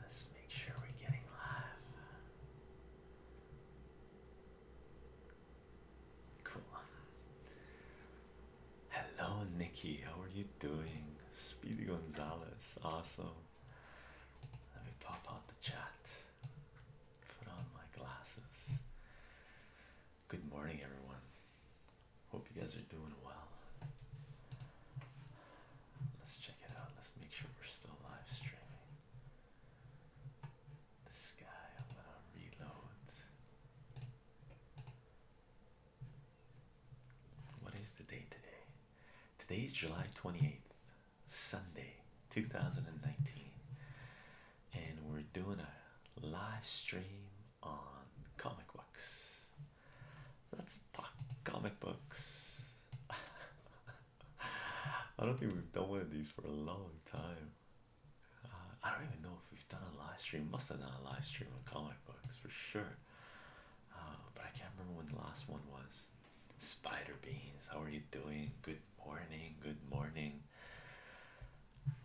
Let's make sure we're getting live. Cool. Hello, Nikki. How are you doing? Speedy Gonzalez. Awesome. Let me pop out the chat. Put on my glasses. Good morning, everyone. Hope you guys are doing well. Let's check it out. Let's make sure we're still live streaming. This guy, I'm gonna reload. What is the day today? Today is July 28th, Sunday, 2019. And we're doing a live stream on comic books. Let's talk comic books. I don't think we've done one of these for a long time. Uh, I don't even know if we've done a live stream. Must have done a live stream on comic books for sure. Uh, but I can't remember when the last one was. Spider beans, how are you doing? Good morning. Good morning.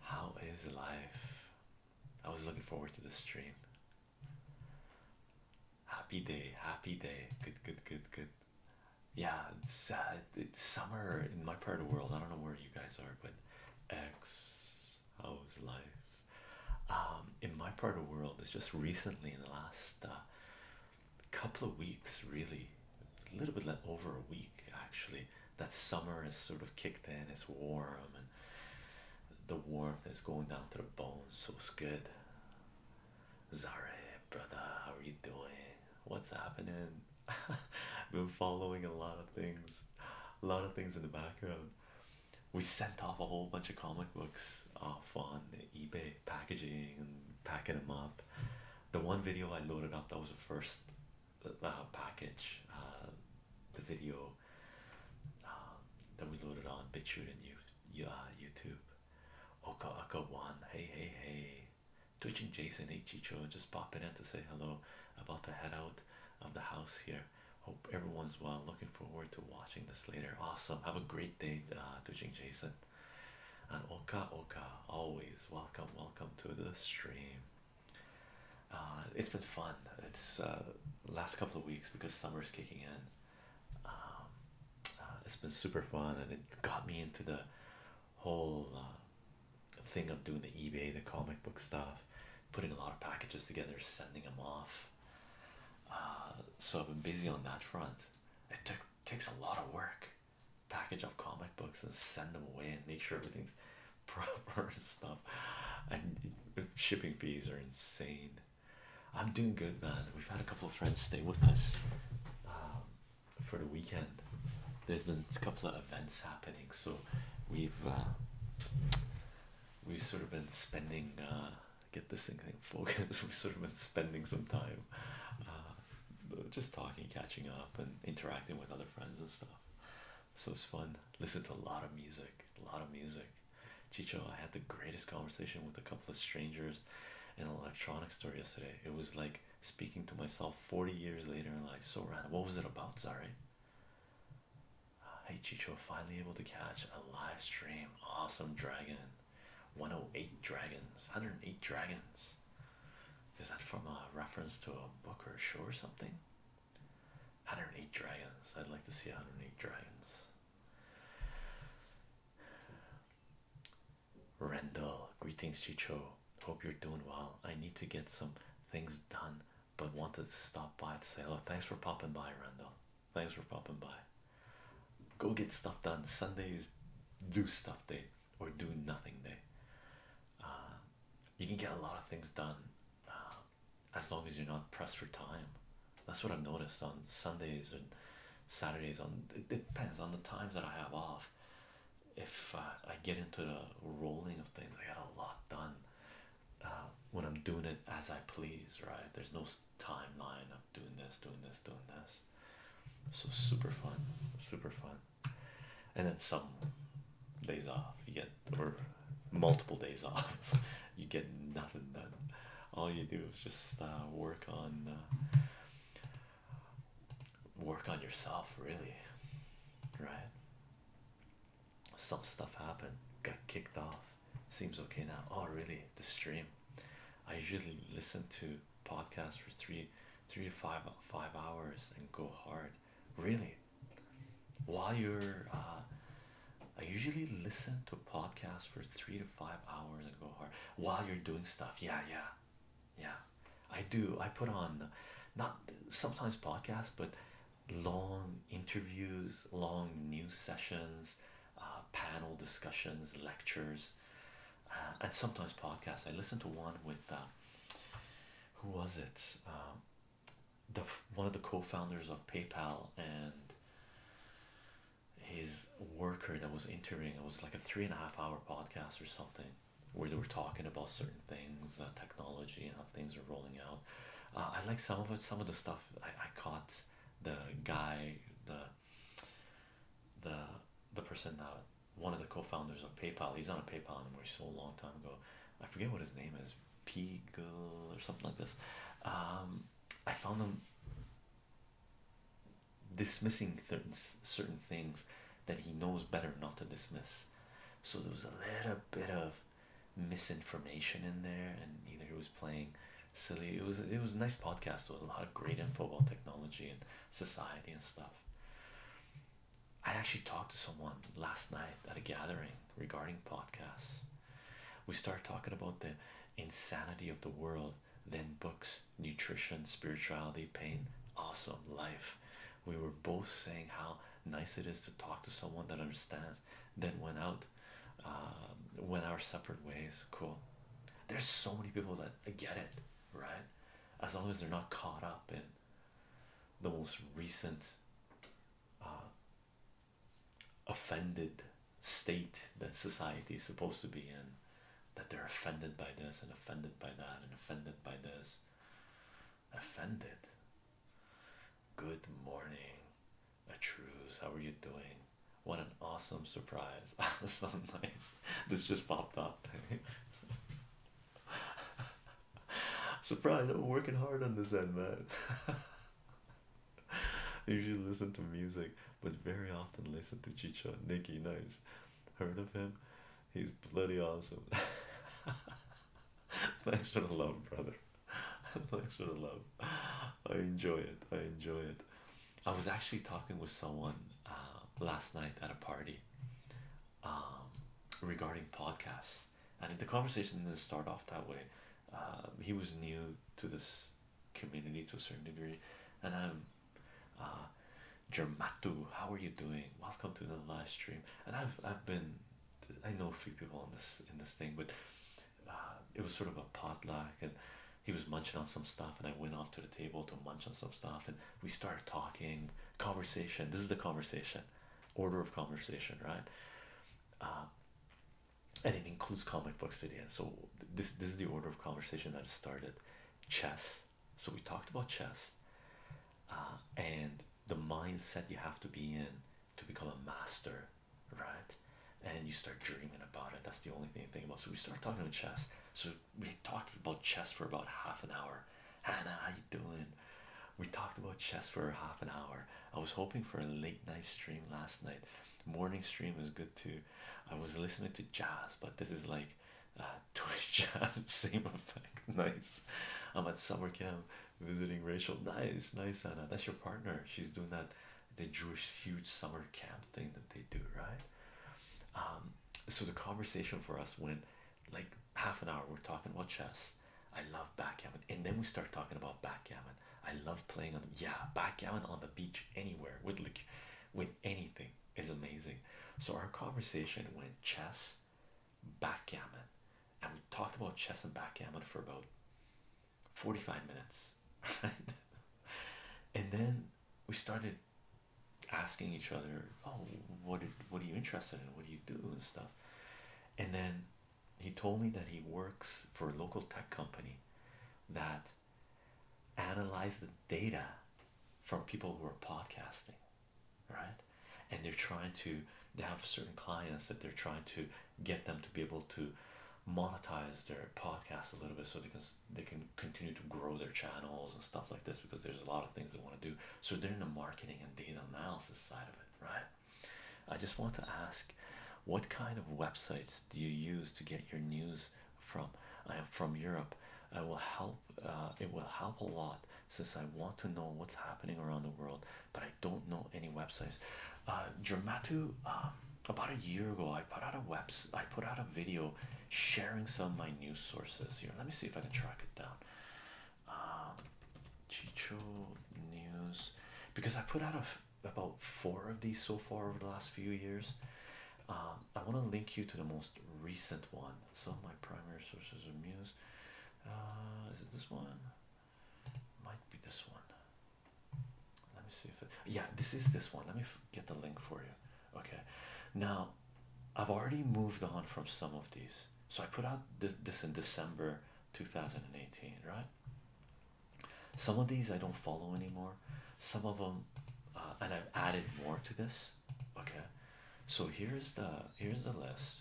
How is life? I was looking forward to the stream. Happy day, happy day. Good, good, good, good. Yeah, it's uh, it's summer in my part of the world. I don't know where you guys are, but ex, how's life? Um, in my part of the world, it's just recently in the last uh, couple of weeks, really, a little bit over a week actually. That summer has sort of kicked in. It's warm and the warmth is going down to the bones. So it's good. Zare, brother, how are you doing? What's happening? Been following a lot of things, a lot of things in the background. We sent off a whole bunch of comic books off on the eBay packaging and packing them up. The one video I loaded up that was the first uh, package, uh, the video um, then that we loaded on BitChute and you, uh, YouTube. Oka Oka One, hey hey hey, twitching Jason hey just popping in to say hello. About to head out of the house here. Hope everyone's well. Looking forward to watching this later. Awesome. Have a great day, uh, twitching Jason. And Oka Oka, always welcome, welcome to the stream. Uh, it's been fun. It's uh, last couple of weeks because summer's kicking in. Um, uh, it's been super fun and it got me into the whole uh, thing of doing the eBay, the comic book stuff, putting a lot of packages together, sending them off. Uh, so I've been busy on that front. It took takes a lot of work. Package up comic books and send them away and make sure everything's proper and stuff. And shipping fees are insane. I'm doing good, man. We've had a couple of friends stay with us um, for the weekend. There's been a couple of events happening, so we've uh, we've sort of been spending. Uh, get this thing in focus. We've sort of been spending some time, uh, just talking, catching up, and interacting with other friends and stuff. So it's fun. Listen to a lot of music. A lot of music. Chicho, I had the greatest conversation with a couple of strangers in an electronics store yesterday. It was like speaking to myself 40 years later like, so random. What was it about? Sorry. Uh, hey, Chicho, finally able to catch a live stream. Awesome, Dragon. 108 Dragons. 108 Dragons. Is that from a reference to a book or a show or something? 108 Dragons. I'd like to see 108 Dragons. Rendell, greetings, Chicho. Hope you're doing well. I need to get some things done, but wanted to stop by to say hello. Thanks for popping by, Rendell. Thanks for popping by. Go get stuff done. Sunday is do stuff day or do nothing day. Uh, you can get a lot of things done. Um, as long as you're not pressed for time. That's what I've noticed on Sundays and Saturdays. On it depends on the times that I have off. If uh, I get into the rolling of things, I get a lot done. Uh, when I'm doing it as I please, right? There's no timeline of doing this, doing this, doing this. So super fun, super fun. And then some days off, you get or multiple days off. You get nothing done. All you do is just uh, work on uh, work on yourself, really, right? Some stuff happened, got kicked off. Seems okay now. Oh, really? The stream. I usually listen to podcasts for three, three to five, five hours and go hard. Really? While you're uh, I usually listen to a podcast for three to five hours and go hard while you're doing stuff. Yeah, yeah, yeah. I do. I put on not sometimes podcasts, but long interviews, long news sessions, uh, panel discussions, lectures, uh, and sometimes podcasts. I listen to one with uh, who was it? Um, the one of the co-founders of PayPal and his worker that was interviewing it was like a three and a half hour podcast or something where they were talking about certain things, uh, technology, and how things are rolling out. Uh, I like some of it. Some of the stuff I, I caught the guy, the the the person that one of the co-founders of PayPal. He's on a PayPal and we anymore. So long time ago, I forget what his name is. Pigo or something like this. Um, I found him dismissing certain certain things that he knows better not to dismiss. So there was a little bit of misinformation in there, and either he was playing silly. It was it was a nice podcast with a lot of great info about technology and society and stuff. I actually talked to someone last night at a gathering regarding podcasts. We start talking about the insanity of the world, then books, nutrition, spirituality, pain, awesome life. We were both saying how nice it is to talk to someone that understands. Then went out, um, went our separate ways. Cool. There's so many people that get it, right? As long as they're not caught up in the most recent uh, offended state that society is supposed to be in that they're offended by this and offended by that and offended by this offended good morning Atruz, how are you doing what an awesome surprise so this just popped up surprise We're working hard on this end man I usually listen to music, but very often listen to Chicha. Nikki, nice. Heard of him? He's bloody awesome. Thanks for the love, brother. Thanks for the love. I enjoy it. I enjoy it. I was actually talking with someone uh, last night at a party um, regarding podcasts, and the conversation didn't start off that way. Uh, he was new to this community to a certain degree. And I'm uh, Jermatu. How are you doing? Welcome to the live stream. And I've I've been I know a few people on this in this thing, but uh, it was sort of a potluck, and he was munching on some stuff, and I went off to the table to munch on some stuff, and we started talking conversation. This is the conversation, order of conversation, right? Uh, and it includes comic books to the end. So this this is the order of conversation that started. Chess. So we talked about chess, uh, and the mindset you have to be in to become a master, right? And you start dreaming about it. That's the only thing you think about. So we start talking about chess. So we talked about chess for about half an hour. Hannah, how you doing? We talked about chess for half an hour. I was hoping for a late night stream last night. Morning stream is good too. I was listening to jazz, but this is like uh, Twitch jazz, same effect. Nice. I'm at summer camp visiting Rachel. Nice, nice, Anna. That's your partner. She's doing that the Jewish huge summer camp thing that they do, right? Um, so the conversation for us went like half an hour. We're talking about chess. I love backgammon, and then we start talking about backgammon. I love playing on Yeah, backgammon on the beach anywhere with like with anything is amazing. So our conversation went chess, backgammon, and we talked about chess and backgammon for about 45 minutes. and then we started asking each other, Oh, what did, what are you interested in? What do you do and stuff? And then he told me that he works for a local tech company that analyze the data from people who are podcasting right and they're trying to they have certain clients that they're trying to get them to be able to monetize their podcast a little bit so they can they can continue to grow their channels and stuff like this because there's a lot of things they want to do so they're in the marketing and data analysis side of it right I just want to ask what kind of websites do you use to get your news from? I am from Europe. It will help uh, it will help a lot since I want to know what's happening around the world, but I don't know any websites. Uh Dramatu um, about a year ago I put out a webs I put out a video sharing some of my news sources here. Let me see if I can track it down. Um, Chicho News because I put out a about four of these so far over the last few years. Um, I want to link you to the most recent one. Some of my primary sources are Muse. Uh, is it this one? Might be this one. Let me see if Yeah, this is this one. Let me get the link for you. Okay. Now, I've already moved on from some of these. So I put out this this in December 2018, right? Some of these I don't follow anymore, some of them, uh, and I've added more to this. Okay, so here's the here's the list.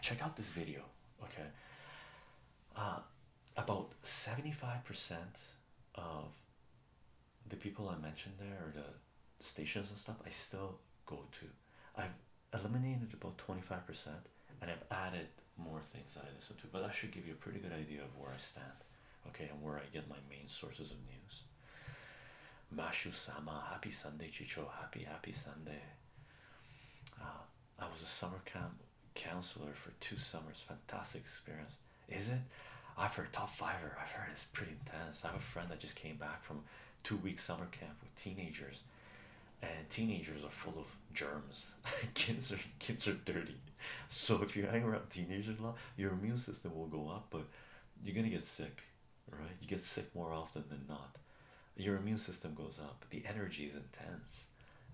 Check out this video. Okay, uh, about seventy five percent of the people I mentioned there, or the stations and stuff, I still go to. I've eliminated about 25% and I've added more things that I listen to, but I should give you a pretty good idea of where I stand, okay, and where I get my main sources of news. Mashu Sama, happy Sunday, Chicho, happy, happy Sunday. Uh, I was a summer camp counselor for two summers, fantastic experience. Is it? I've heard top fiver, I've heard it's pretty intense. I have a friend that just came back from two weeks summer camp with teenagers and teenagers are full of germs. kids are kids are dirty. So if you hang around teenagers a lot, your immune system will go up, but you're gonna get sick, right? You get sick more often than not. Your immune system goes up. The energy is intense.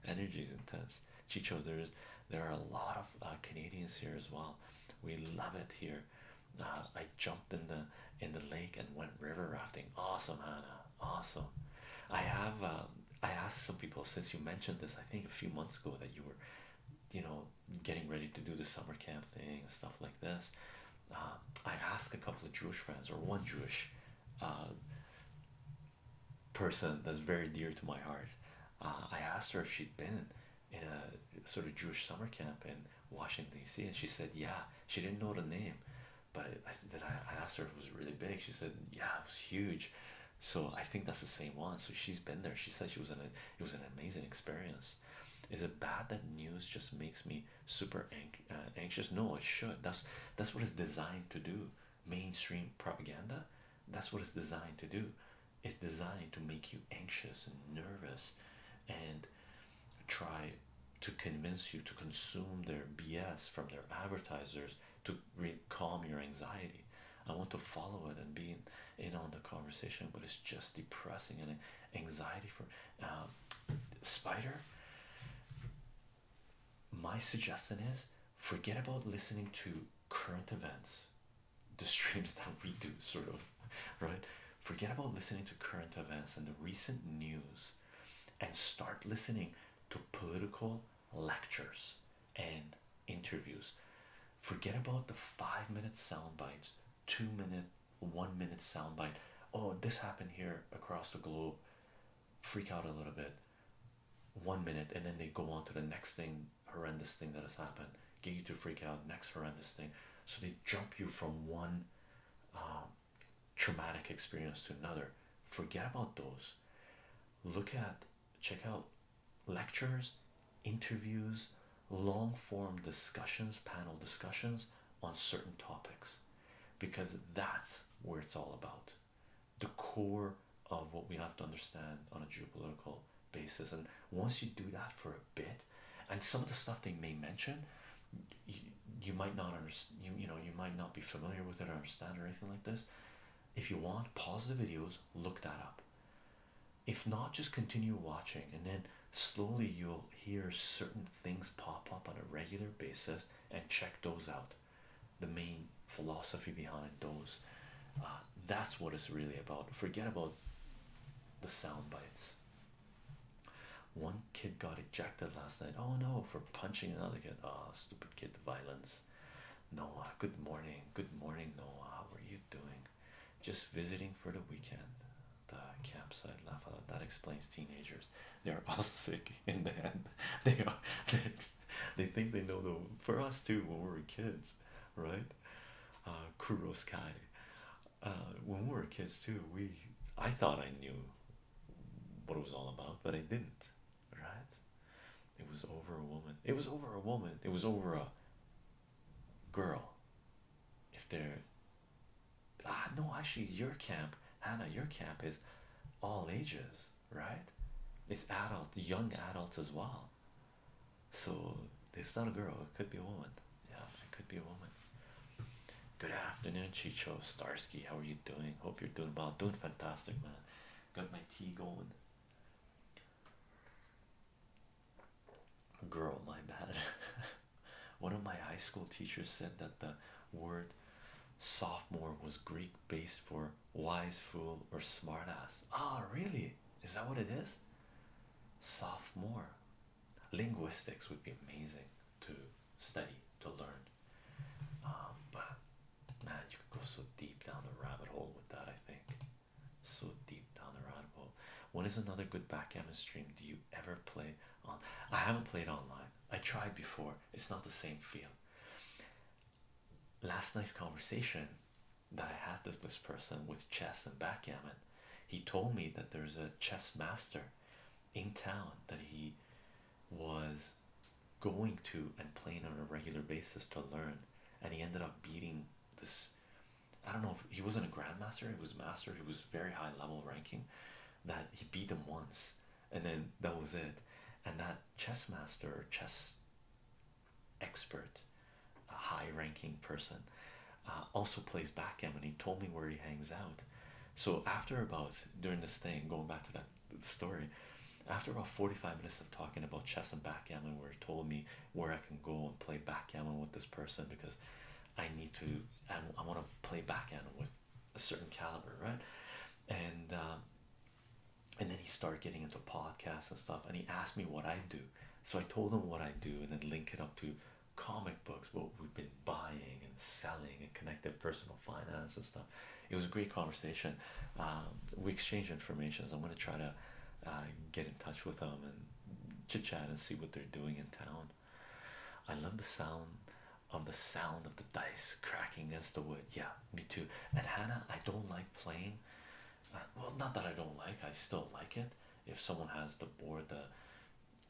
Energy is intense. Chicho, there is there are a lot of uh, Canadians here as well. We love it here. Uh, I jumped in the in the lake and went river rafting. Awesome, Hannah awesome. I have um, I asked some people since you mentioned this. I think a few months ago that you were, you know, getting ready to do the summer camp thing and stuff like this. Um, I asked a couple of Jewish friends or one Jewish uh, person that's very dear to my heart. Uh, I asked her if she'd been in a sort of Jewish summer camp in Washington D.C. and she said yeah. She didn't know the name, but I, I did. I, asked her if it was really big. She said, "Yeah, it was huge." So I think that's the same one. So she's been there. She said she was in a. It was an amazing experience. Is it bad that news just makes me super uh, anxious? No, it should. That's that's what it's designed to do. Mainstream propaganda. That's what it's designed to do. It's designed to make you anxious and nervous, and try to convince you to consume their BS from their advertisers to calm your anxiety. I want to follow it and be in, on the conversation, but it's just depressing and anxiety for uh, Spider. My suggestion is forget about listening to current events, the streams that we do, sort of, right? Forget about listening to current events and the recent news and start listening to political lectures and interviews. Forget about the five minute sound bites, two minute, one minute sound bite. Oh, this happened here across the globe. Freak out a little bit. One minute, and then they go on to the next thing, horrendous thing that has happened. Get you to freak out, next horrendous thing. So they jump you from one um, traumatic experience to another forget about those look at check out lectures interviews long form discussions panel discussions on certain topics because that's where it's all about the core of what we have to understand on a geopolitical basis and once you do that for a bit and some of the stuff they may mention you might not understand you, you know you might not be familiar with it or understand or anything like this if you want pause the videos look that up if not just continue watching and then slowly you'll hear certain things pop up on a regular basis and check those out the main philosophy behind those uh, that's what it's really about forget about the sound bites one kid got ejected last night oh no for punching another kid ah oh, stupid kid violence. Noah, good morning. Good morning, Noah. How are you doing? Just visiting for the weekend. The campsite That explains teenagers. They are all sick in the end. They are. They, think they know the. For us too, when we were kids, right? Uh, Kurosky. Uh, when we were kids too, we. I thought I knew what it was all about, but I didn't right? It was over a woman. It was over a woman. It was over a girl. If they're ah no, actually your camp, Hannah, your camp is all ages, right? It's adult, young adult as well. So it's not a girl. It could be a woman. Yeah, it could be a woman. Good afternoon, Chicho Starsky. How are you doing? Hope you're doing well. Doing fantastic, man. Got my tea going. Girl, my bad. One of my high school teachers said that the word sophomore was Greek based for wise fool or smartass. Ah, really? Is that what it is? Sophomore. Linguistics would be amazing to study, to learn. Um, but man, you could go so deep down the rabbit hole with that. I think so deep down the rabbit hole. When is another good backgammon stream? Do you ever play on? I haven't played online. I tried before. It's not the same feel. Last night's conversation that I had with this person with chess and backgammon, he told me that there's a chess master in town that he was going to and playing on a regular basis to learn and he ended up beating this i don't know if he wasn't a grandmaster he was master he was very high level ranking that he beat him once and then that was it and that chess master chess expert a high ranking person uh, also plays backgammon he told me where he hangs out so after about during this thing going back to that story. After about 45 minutes of talking about chess and backgammon, where he told me where I can go and play backgammon with this person because I need to, I, I want to play backgammon with a certain caliber, right? And um, and then he started getting into podcasts and stuff, and he asked me what I do. So I told him what I do, and then link it up to comic books, what we've been buying and selling, and connected personal finance and stuff. It was a great conversation. Um, we exchanged information. I'm going to try to uh, get in touch with them and chit chat and see what they're doing in town. I love the sound of the sound of the dice cracking against the wood. Yeah, me too. And Hannah, I don't like playing. Uh, well, not that I don't like, I still like it. If someone has the board, the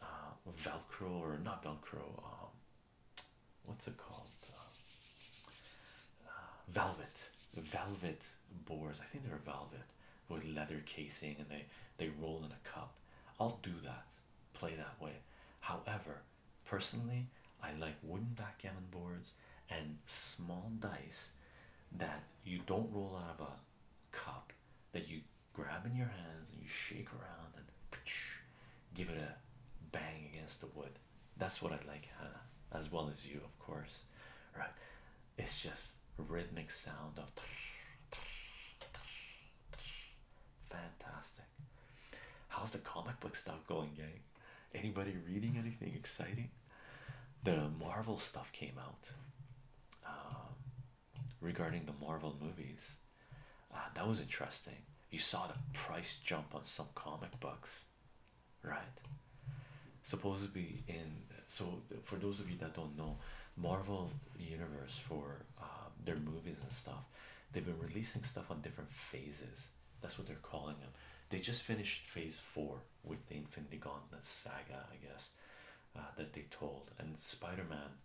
uh, Velcro or not Velcro, um, what's it called? Uh, velvet, velvet boards. I think they're velvet with leather casing, and they they roll in a cup. I'll do that, play that way. However, personally, I like wooden backgammon boards and small dice that you don't roll out of a cup that you grab in your hands and you shake around and give it a bang against the wood that's what I like, as well as you, of course. Right? It's just rhythmic sound of fantastic. How's the comic book stuff going, gang? Anybody reading anything exciting? The Marvel stuff came out um, regarding the Marvel movies. Uh, that was interesting you saw the price jump on some comic books right supposed to be in so for those of you that don't know marvel universe for um, their movies and stuff they've been releasing stuff on different phases that's what they're calling them they just finished phase four with the infinity gauntlet saga i guess uh, that they told and spider-man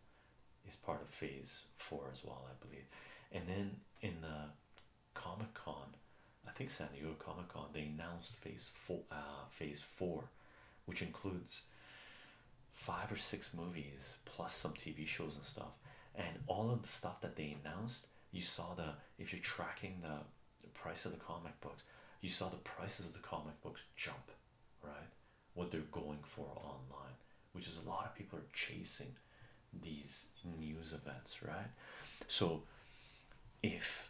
is part of phase four as well i believe and then in the Comic Con, I think San Diego Comic Con, they announced phase four, uh, phase four, which includes five or six movies plus some TV shows and stuff. And all of the stuff that they announced, you saw the if you're tracking the price of the comic books, you saw the prices of the comic books jump, right? What they're going for online, which is a lot of people are chasing these news events, right? So, if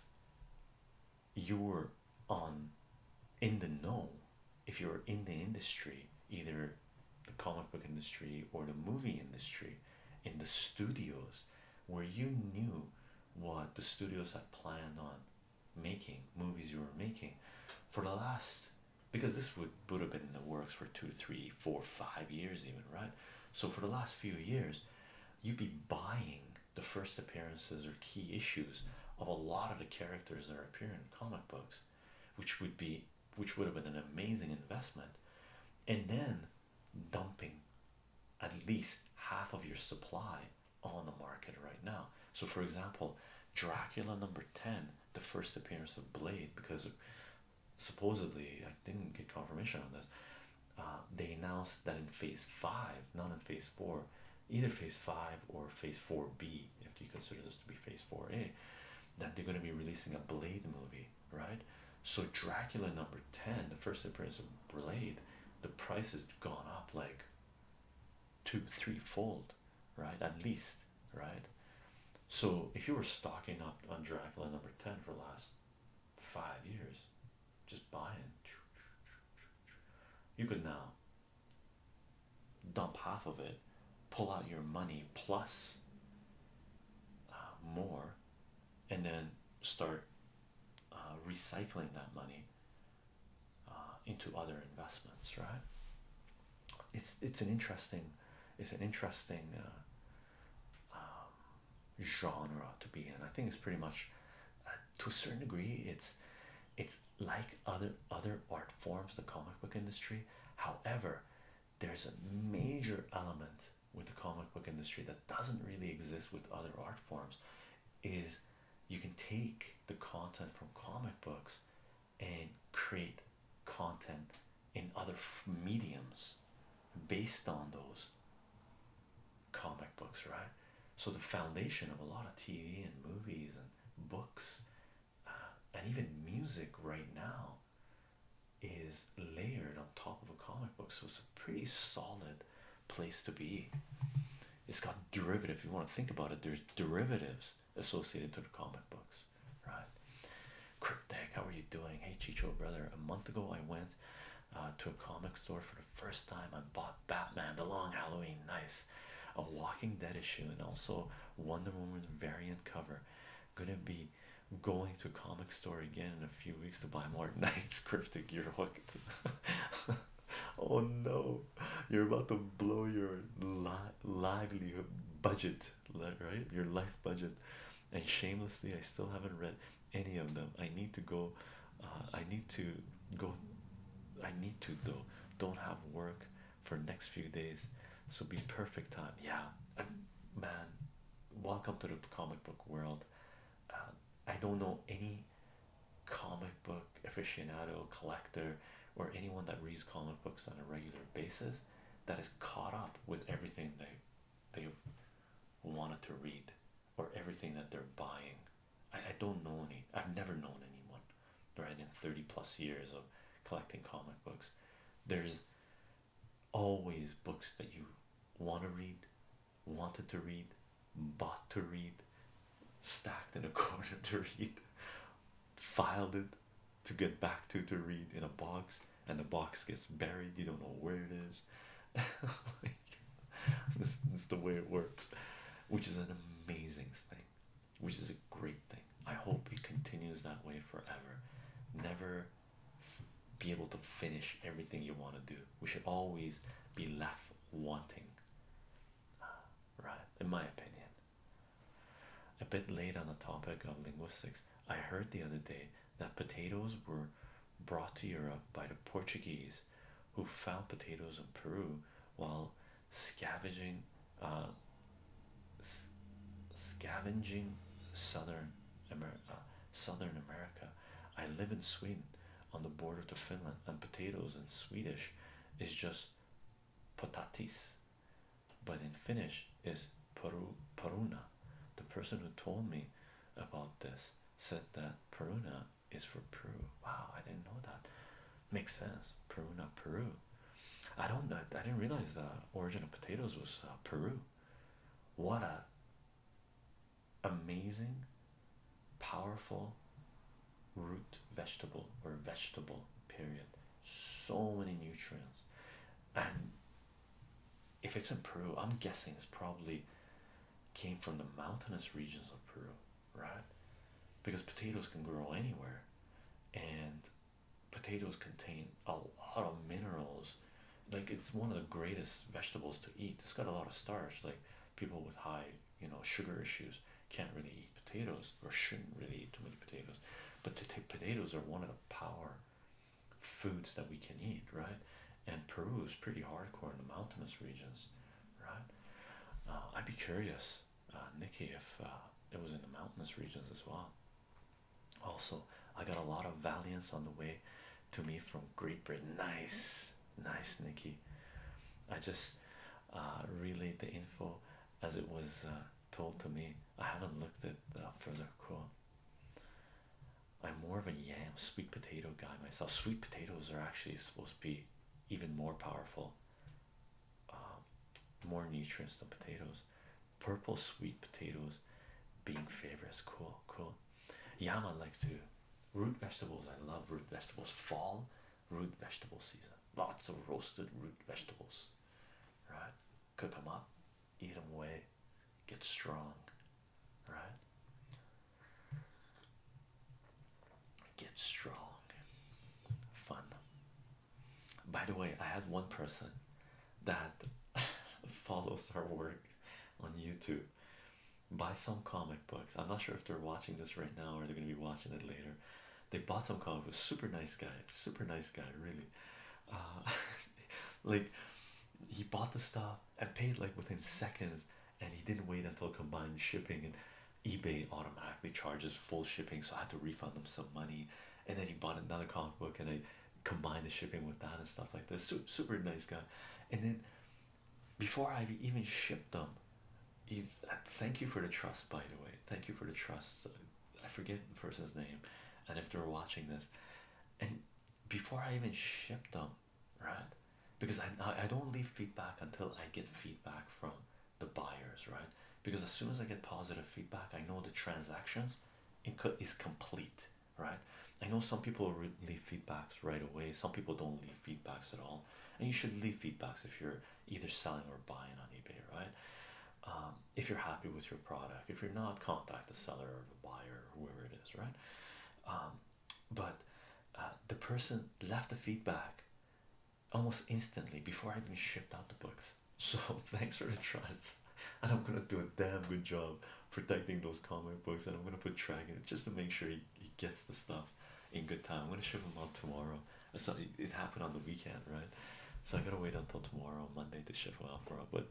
you are on in the know, if you're in the industry, either the comic book industry or the movie industry, in the studios where you knew what the studios had planned on making movies you were making for the last because this would would have been in the works for two, three, four, five years, even right. So for the last few years, you'd be buying the first appearances or key issues of a lot of the characters that are appearing in comic books, which would be which would have been an amazing investment, and then dumping at least half of your supply on the market right now. So for example, Dracula number 10, the first appearance of Blade because supposedly, I didn't get confirmation on this. Uh, they announced that in phase five, not in phase four, either phase five or phase 4B, if you consider this to be phase 4A, that they're going to be releasing a Blade movie, right? So, Dracula number 10, the first appearance of Blade, the price has gone up like two, three fold, right? At least right? So if you were stocking up on Dracula number 10 for the last five years, just buying, you could now dump half of it, pull out your money plus uh, more, and then start uh, recycling that money uh, into other investments, right? It's it's an interesting, it's an interesting um, genre to be in. I think it's pretty much, uh, to a certain degree, it's it's like other other art forms, the comic book industry. However, there's a major element with the comic book industry that doesn't really exist with other art forms. Is you can take the content from comic books and create content in other mediums based on those comic books, right? So, the foundation of a lot of TV and movies and books uh, and even music right now is layered on top of a comic book. So, it's a pretty solid place to be. It's got derivative. If you want to think about it, there's derivatives associated to the comic books right? Cryptic, how are you doing? Hey, Chicho, brother. A month ago, I went uh, to a comic store for the first time. I bought Batman, the long Halloween, nice. A Walking Dead issue, and also Wonder Woman variant cover. Gonna be going to comic store again in a few weeks to buy more nice cryptic. You're hooked. oh no, you're about to blow your li livelihood budget, right? Your life budget and shamelessly I still haven't read any of them. I need to go uh, I need to go I need to though don't have work for next few days so be perfect time yeah man welcome to the comic book world uh, I don't know any comic book aficionado collector or anyone that reads comic books on a regular basis that is caught up with everything they they've wanted to read or everything that they're buying. I, I don't know any, I've never known anyone, right? In 30 plus years of collecting comic books, there's always books that you want to read, wanted to read, bought to read, stacked in a corner to read, filed it, to get back to to read in a box and the box gets buried you don't know where it is like, this, this is the way it works which is an amazing thing which is a great thing i hope it continues that way forever never be able to finish everything you want to do we should always be left wanting right in my opinion a bit late on the topic of linguistics I heard the other day that potatoes were brought to Europe by the Portuguese who found potatoes in Peru while scavenging uh, scavenging southern America uh, southern America I live in Sweden on the border to Finland and potatoes in Swedish is just potatis but in Finnish is Peru Peruna. The person who told me about this said that Peruna is for Peru. Wow, I didn't know that. Makes sense. Peruna, Peru. I don't know. I didn't realize the origin of potatoes was uh, Peru. What a amazing, powerful root vegetable or vegetable period. So many nutrients, and if it's in Peru, I'm guessing it's probably came from the mountainous regions of Peru, right? Because potatoes can grow anywhere, and potatoes contain a lot of minerals. Like it's one of the greatest vegetables to eat. It's got a lot of starch. Like people with high, you know, sugar issues can't really eat potatoes or shouldn't really eat too many potatoes. But potatoes are one of the power foods that we can eat, right? And Peru is pretty hardcore in the mountainous regions, right? Uh, I'd be curious, uh, Nikki, if uh, it was in the mountainous regions as well. Also, I got a lot of Valiance on the way to me from Great Britain. Nice, nice, Nikki. I just relayed the info as it was told to me. I haven't looked at further. Cool. I'm more of a yam sweet potato guy myself. Sweet potatoes are actually supposed to be even more powerful, um, more nutrients than potatoes. Purple sweet potatoes being favorites. Cool, cool. Yam, I like too. Root vegetables, I love root vegetables. Fall, root vegetable season. Lots of roasted root vegetables, right? Cook them up, eat them away, get strong, right? Get strong, fun. By the way, I had one person that follows our work on YouTube. Buy some comic books. I'm not sure if they're watching this right now or they're gonna be watching it later. They bought some comics. Super nice guy. Super nice guy. Really. Uh, like he bought the stuff and paid like within seconds and he didn't wait until combined shipping and ebay automatically charges full shipping so i had to refund them some money and then he bought another comic book and i combined the shipping with that and stuff like this super, nice guy and then before i even shipped them he's thank you for the trust by the way thank you for the trust i forget the person's name and if they're watching this and before I even ship them, right? Because I I don't leave feedback until I get feedback from the buyers, right? Because as soon as I get positive feedback, I know the transactions is complete, right? I know some people leave feedbacks right away. Some people don't leave feedbacks at all, and you should leave feedbacks if you're either selling or buying on eBay, right? Um, if you're happy with your product if you're not contact the seller or the buyer whoever it is right um, but uh, the person left the feedback almost instantly before i even shipped out the books so thanks for the trust and i'm gonna do a damn good job protecting those comic books and i'm gonna put tracking it just to make sure he, he gets the stuff in good time i'm gonna ship them out tomorrow uh, so it happened on the weekend right so i gotta wait until tomorrow monday to ship them out for him but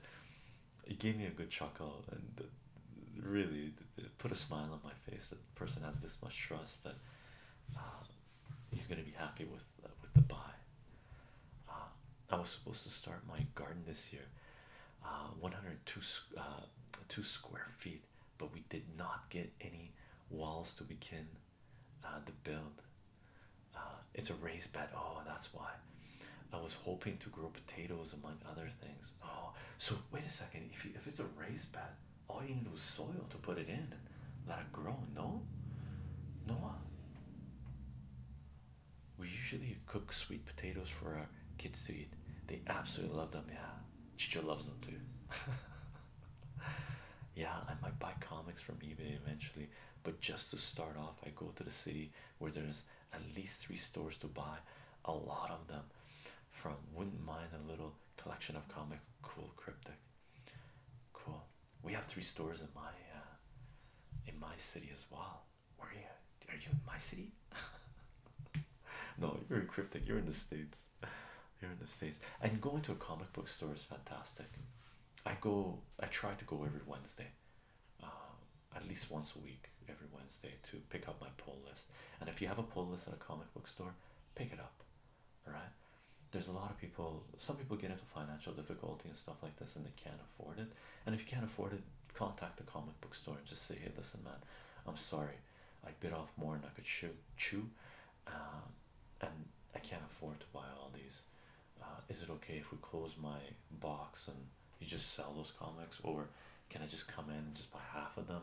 it gave me a good chuckle and really put a smile on my face that the person has this much trust that uh, he's going to be happy with uh, with the buy. Uh, I was supposed to start my garden this year, 102 two square feet, but we did not get any walls to begin the build uh, it's a raised bed. Oh, that's why I was hoping to grow potatoes among other things. Oh, so wait a second. If if it's a raised bed, all you need is soil to put it in and let it grow. No, Noah. Uh. We usually cook sweet potatoes for our kids to eat. They absolutely love them. Yeah, Chicha loves them too. yeah, I might buy comics from eBay eventually, but just to start off, I go to the city where there's at least three stores to buy a lot of them from. Wouldn't mind a little collection of comic cool cryptic. Cool. We have three stores in my uh, in my city as well. Where are you? Are you in my city? no, you're in cryptic. You're in the states. You're in the states. And going to a comic book store is fantastic. I go. I try to go every Wednesday uh, at least once a week every Wednesday to pick up my poll list. And if you have a poll list at a comic book store, pick it up. All right, there's a lot of people, some people get into financial difficulty and stuff like this, and they can't afford it. And if you can't afford it, contact the comic book store and just say, Hey, listen, man, I'm sorry, I bit off more than I could chew, chew, uh, and I can't afford to buy all these uh, is it okay if we close my box and you just sell those comics or can I just come in and just buy half of them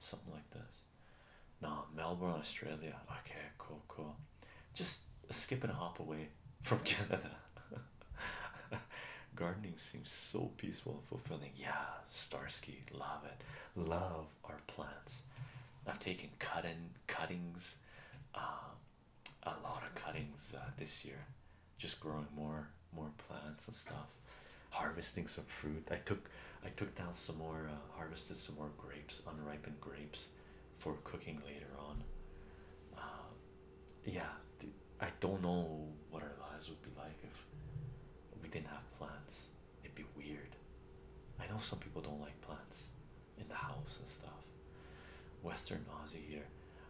something like this no Melbourne Australia okay cool cool just skip and hop away from Canada gardening seems so peaceful and fulfilling yeah Starsky love it love our plants I've taken cut in cuttings um, a lot of cuttings uh, this year, just growing more more plants and stuff, harvesting some fruit. I took I took down some more uh, harvested some more grapes, unripened grapes, for cooking later on. Um, yeah, I don't know what our lives would be like if we didn't have plants. It'd be weird. I know some people don't like plants in the house and stuff. Western Aussie here.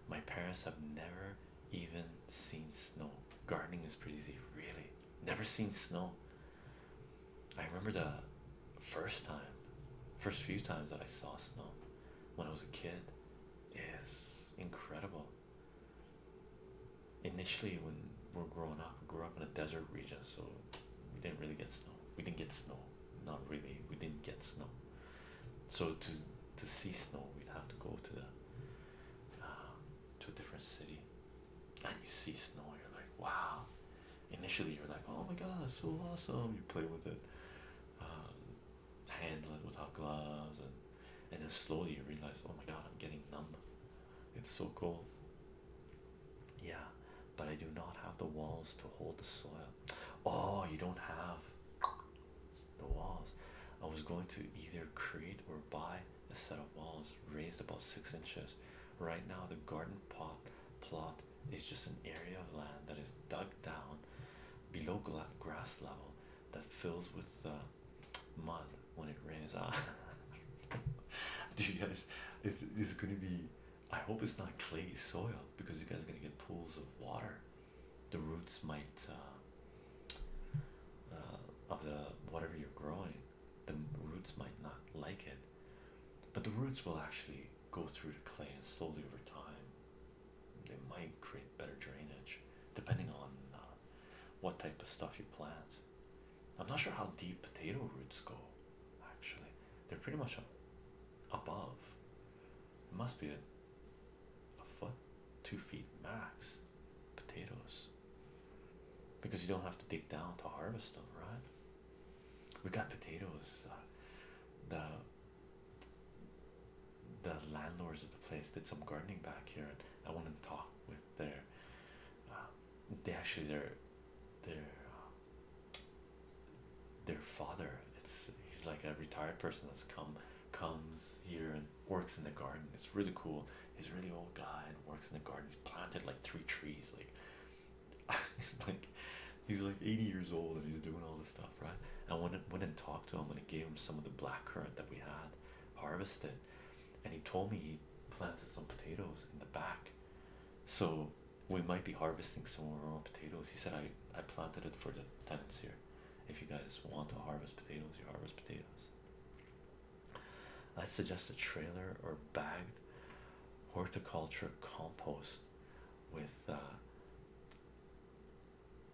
My parents have never even seen snow. Gardening is pretty easy, really. Never seen snow. I remember the first time, first few times that I saw snow when I was a kid. Is incredible. Initially, when we're growing up, grew up in a desert region, so we didn't really get snow. We didn't get snow, not really. We didn't get snow. So to to see snow, we'd have to go to the um, to a different city, and you see snow, you're like, wow. Initially, you're like, oh my god, it's so awesome. You play with it, um, handle it without gloves, and and then slowly you realize, oh my god, I'm getting numb. It's so cold. Yeah, but I do not have the walls to hold the soil. Oh, you don't have the walls. I was going to either create or buy a set of walls raised about six inches. Right now, the garden pot plot is just an area of land that is dug down below grass level that fills with uh, mud when it rains. Ah. Do you guys? Is is going to be? I hope it's not clay soil because you guys are going to get pools of water the roots might uh, uh, of the whatever you're growing the roots might not like it but the roots will actually go through the clay and slowly over time they might create better drainage depending on uh, what type of stuff you plant i'm not sure how deep potato roots go actually they're pretty much above it must be a a foot, two feet max, potatoes. Because you don't have to dig down to harvest them, right? We got potatoes. Uh, the the landlords of the place did some gardening back here, and I went to talk with their. Uh, they actually their their uh, their father it's he's like a retired person that's come comes here and works in the garden it's really cool he's a really old guy and works in the garden he's planted like three trees like it's like he's like 80 years old and he's doing all this stuff right i went and, went and talked to him and I gave him some of the black currant that we had harvested and he told me he planted some potatoes in the back so we might be harvesting some of potatoes he said i i planted it for the tenants here if you guys want to harvest potatoes, you harvest potatoes. I suggest a trailer or bagged horticulture compost with uh,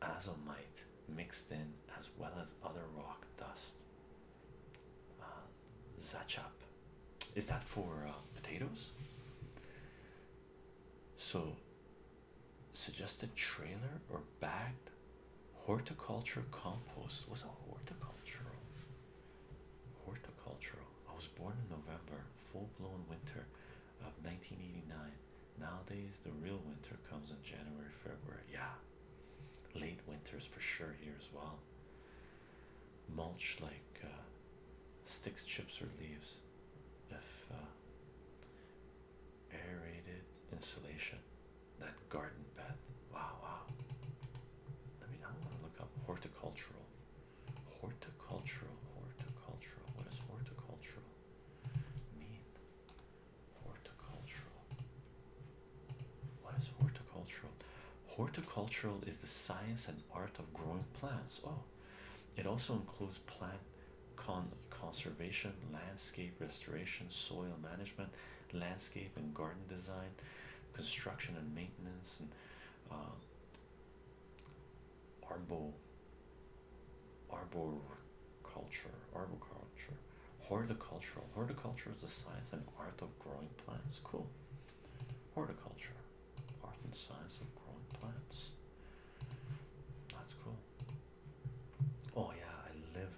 azomite mixed in as well as other rock dust. Uh, Zachap. Is that for uh, potatoes? So suggested trailer or bagged horticulture compost was a horticultural horticultural i was born in november full-blown winter of 1989 nowadays the real winter comes in january february yeah late winters for sure here as well mulch like uh, sticks chips or leaves if uh, aerated insulation. That garden bed. Wow, wow. I mean, I want to look up horticultural. Horticultural, horticultural. What does horticultural mean? Horticultural. What is horticultural? Horticultural is the science and art of growing plants. Oh, it also includes plant con conservation, landscape restoration, soil management, landscape and garden design, construction and maintenance, and um, arbor arboriculture, arboriculture, horticulture, Horticulture is the science and art of growing plants. Cool. Horticulture, art and science of growing plants. That's cool. Oh yeah, I live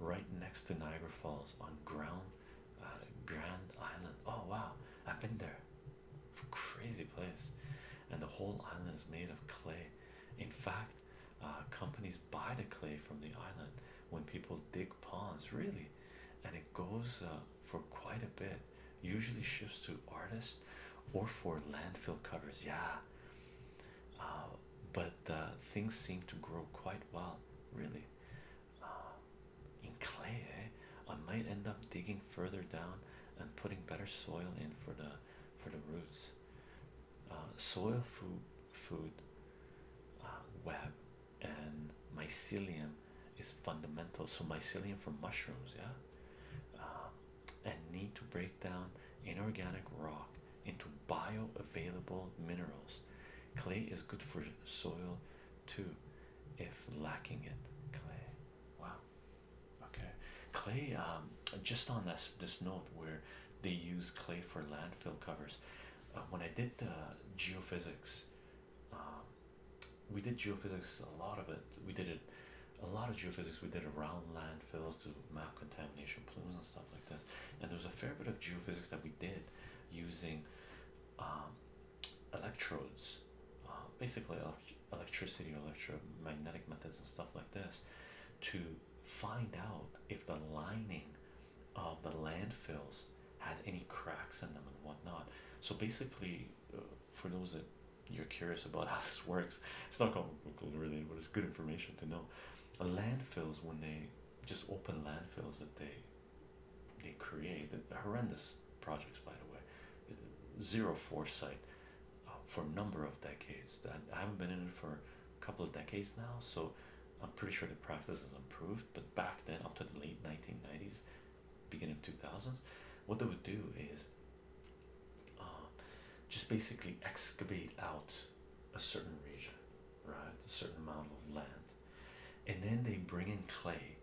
right next to Niagara Falls on Ground uh, Grand Island. Oh wow, I've been there. Crazy place, and the whole island is made of clay. In fact, uh, companies buy the clay from the island when people dig ponds, really, and it goes uh, for quite a bit usually shifts to artists or for landfill covers. Yeah, uh, but things seem to grow quite well, really. Uh, in clay, eh? I might end up digging further down and putting better soil in for the for the roots. Uh, soil food, food web, and mycelium is fundamental. So mycelium for mushrooms, yeah and need to break down inorganic rock into bioavailable minerals. Clay is good for soil too, if lacking it. Clay. Wow. Okay. Clay. Um, just on this this note where they use clay for landfill covers. Uh, when I did the geophysics, um, we did geophysics a lot of it. We did it a lot of geophysics we did around landfills to map contamination plumes and stuff like this and there was a fair bit of geophysics that we did using um, electrodes uh, basically electricity electromagnetic methods and stuff like this to find out if the lining of the landfills had any cracks in them and whatnot so basically uh, for those that you're curious about how this works, it's not complicated really, but it's good information to know. Landfills, when they just open landfills that they they create, horrendous projects by the way, zero foresight uh, for a number of decades. I haven't been in it for a couple of decades now, so I'm pretty sure the practice has improved. But back then, up to the late 1990s, beginning 2000s, what they would do is uh, just basically excavate out a certain region, right? A certain amount of land, and then they bring in clay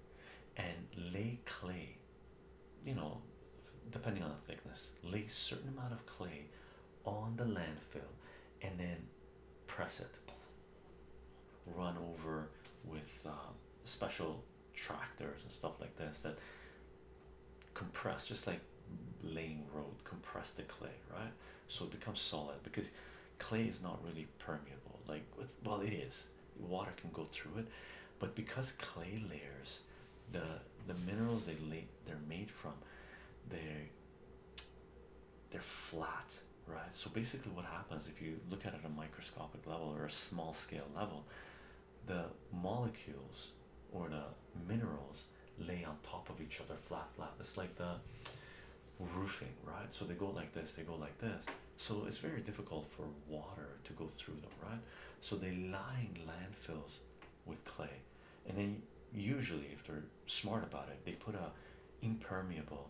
and lay clay, you know, depending on the thickness, lay certain amount of clay on the landfill and then press it, run over with um, special tractors and stuff like this that compress just like laying road compress the clay right so it becomes solid because clay is not really permeable like well it is water can go through it but because clay layers the the minerals they lay they're made from they they're flat right so basically what happens if you look at it a microscopic level or a small scale level the molecules or the minerals lay on top of each other flat flat it's like the roofing right so they go like this they go like this so it's very difficult for water to go through them right so they line landfills with clay and then usually if they're smart about it they put a impermeable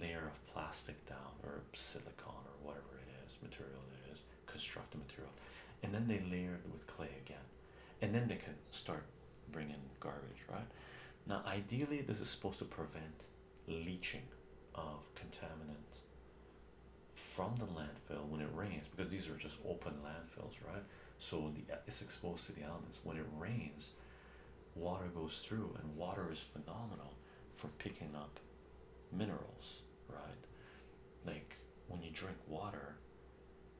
layer of plastic down or silicon or whatever it is material it is construct the material and then they layer it with clay again and then they can start bringing garbage right now ideally this is supposed to prevent leaching of contaminants from the landfill when it rains because these are just open landfills right so the it's exposed to the elements when it rains water goes through and water is phenomenal for picking up minerals right? Like when you drink water,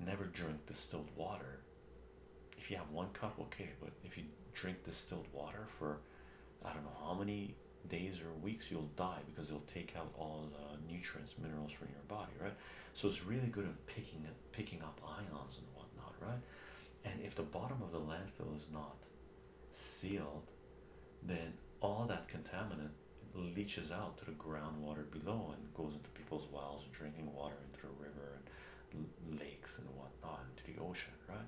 never drink distilled water. If you have one cup, okay, but if you drink distilled water for I don't know how many days or weeks, you'll die because it'll take out all the nutrients, minerals from your body, right? So it's really good at picking picking up ions and whatnot, right? And if the bottom of the landfill is not sealed, then all that contaminant leaches out to the groundwater below and goes into people's wells, drinking water into the river and lakes and whatnot, into the ocean, right?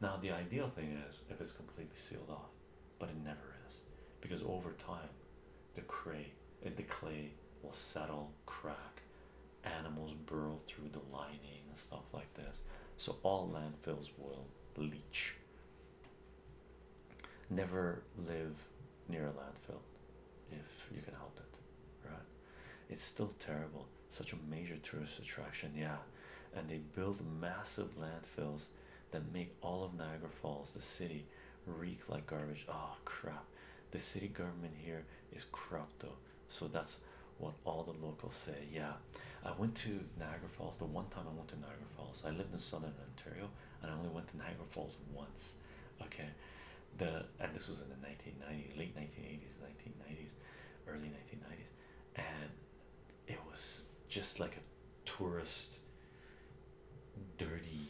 Now, the ideal thing is if it's completely sealed off, but it never is because over time the clay, eh, the clay will settle, crack, animals burrow through the lining and stuff like this. So, all landfills will leach Never live near a landfill if you can help it, right? It's still terrible, such a major tourist attraction, yeah. And they build massive landfills that make all of Niagara Falls, the city, reek like garbage. Oh crap. The city government here is corrupto. So that's what all the locals say. Yeah. I went to Niagara Falls the one time I went to Niagara Falls. I lived in southern Ontario and I only went to Niagara Falls once. Okay, the and this was in the 1990s, late 1980s, 1990s, early 1990s, and it was just like a tourist, dirty,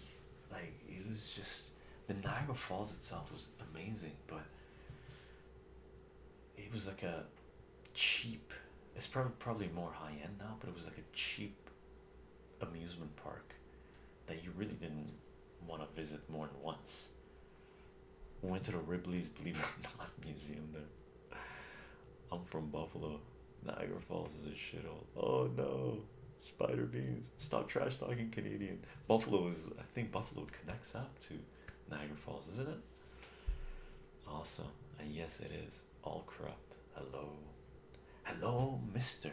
like it was just the Niagara Falls itself was amazing, but it was like a cheap. It's probably probably more high end now, but it was like a cheap amusement park that you really didn't want to visit more than once. Went to the Ripley's Believe It or Not Museum there. I'm from Buffalo. Niagara Falls is a shithole. Oh no. Spider beans. Stop trash talking Canadian. Buffalo is I think Buffalo connects up to Niagara Falls, isn't it? Awesome. yes it is all corrupt. Hello, hello, Mister.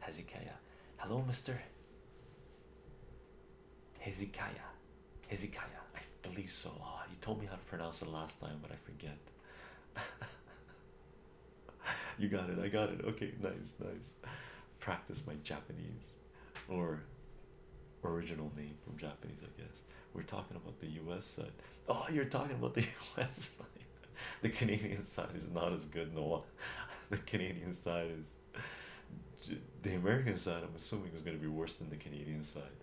Hezekiah. Hello, Mr. Hezekiah. Hezekiah. I believe so. Ah, you told me how to pronounce it last time, but I forget. you got it. I got it. Okay, nice, nice. Practice my Japanese or original name from Japanese, I guess. We're talking about the US side. Oh, you're talking about the US side. The Canadian side is not as good, no The Canadian side is. The American side, I'm assuming, is going to be worse than the Canadian side.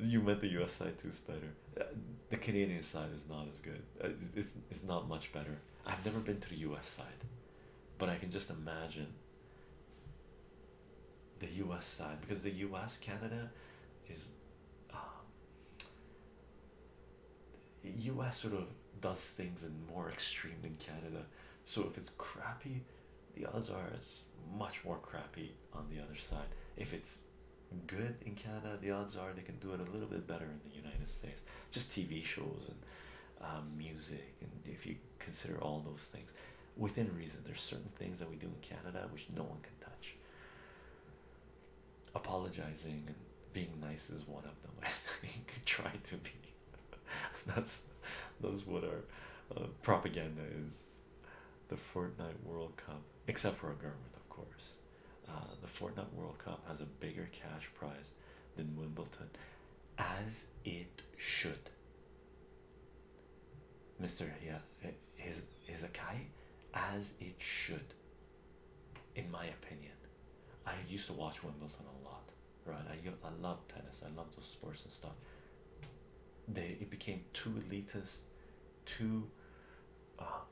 You meant the U.S. side too, Spider. Uh, the Canadian side is not as good. Uh, it's it's not much better. I've never been to the U.S. side, but I can just imagine the US side because the US Canada is US um, sort of does things in more extreme than Canada so if it's crappy the odds are it's much more crappy on the other side if it's good in Canada the odds are they can do it a little bit better in the United States just TV shows and um, music and if you consider all those things within reason. There's certain things that we do in Canada which no one can touch. Apologizing and being nice is one of them. I think try to be. That's that's what our uh, propaganda is. The Fortnite World Cup, except for a government, of course. Uh, the Fortnite World Cup has a bigger cash prize than Wimbledon, as it should. Mr. Yeah, his his Akai, as it should. In my opinion, I used to watch Wimbledon a lot, right? I I love tennis. I love those sports and stuff. They it became too elitist, too. Uh,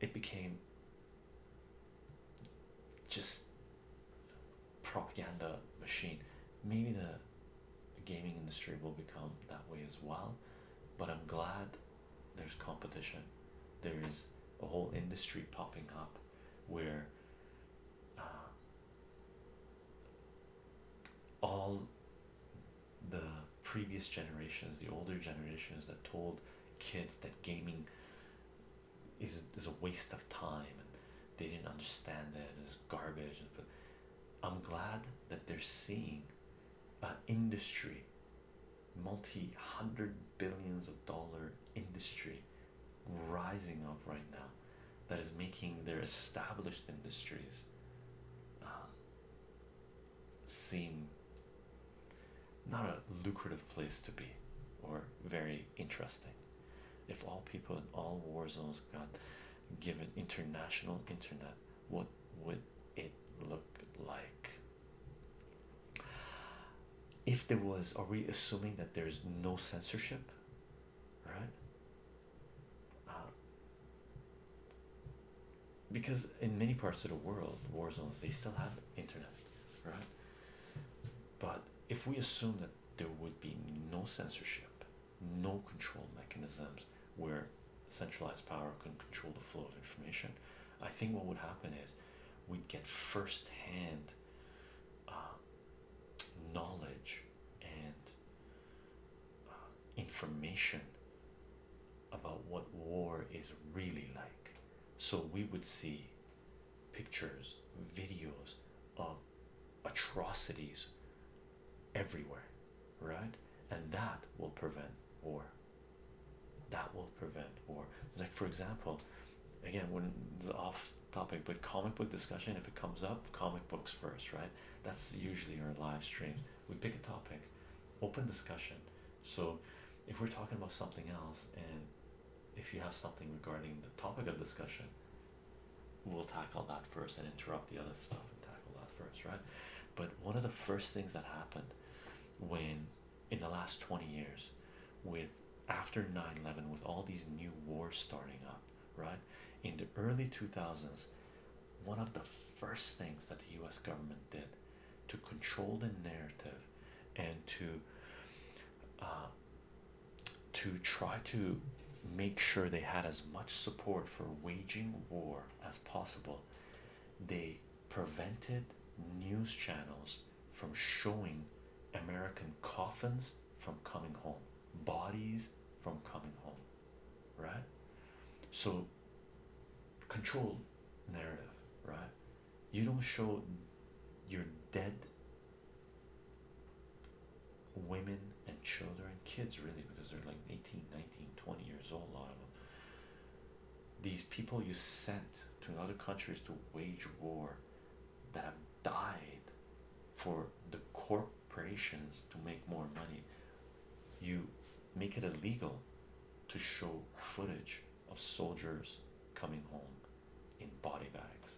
it became just propaganda machine. Maybe the gaming industry will become that way as well, but I'm glad there's competition. There is a whole industry popping up where uh, all the previous generations, the older generations that told kids that gaming is is a waste of time and they didn't understand it it's garbage but i'm glad that they're seeing an industry multi hundred billions of dollar industry rising up right now that is making their established industries um, seem not a lucrative place to be or very interesting if all people in all war zones got given international internet, what would it look like? If there was, are we assuming that there's no censorship? Right? Uh, because in many parts of the world, war zones, they still have internet, right? But if we assume that there would be no censorship, no control mechanisms where centralized power can control the flow of information. I think what would happen is we'd get firsthand um, knowledge and uh, information about what war is really like. So we would see pictures, videos of atrocities everywhere, right? And that will prevent war. That will prevent war. Like, for example, again, when it's off topic, but comic book discussion, if it comes up, comic books first, right? That's usually our live stream. We pick a topic, open discussion. So, if we're talking about something else, and if you have something regarding the topic of discussion, we'll tackle that first and interrupt the other stuff and tackle that first, right? But one of the first things that happened when in the last 20 years with after 9-11 with all these new wars starting up right in the early 2000s one of the first things that the us government did to control the narrative and to uh, to try to make sure they had as much support for waging war as possible, they prevented news channels from showing American coffins from coming home, bodies from coming home, right? So, control narrative, right? You don't show your dead women and children kids really because they're like 18 19 20 years old a lot of them these people you sent to other countries to wage war that have died for the corporations to make more money you make it illegal to show footage of soldiers coming home in body bags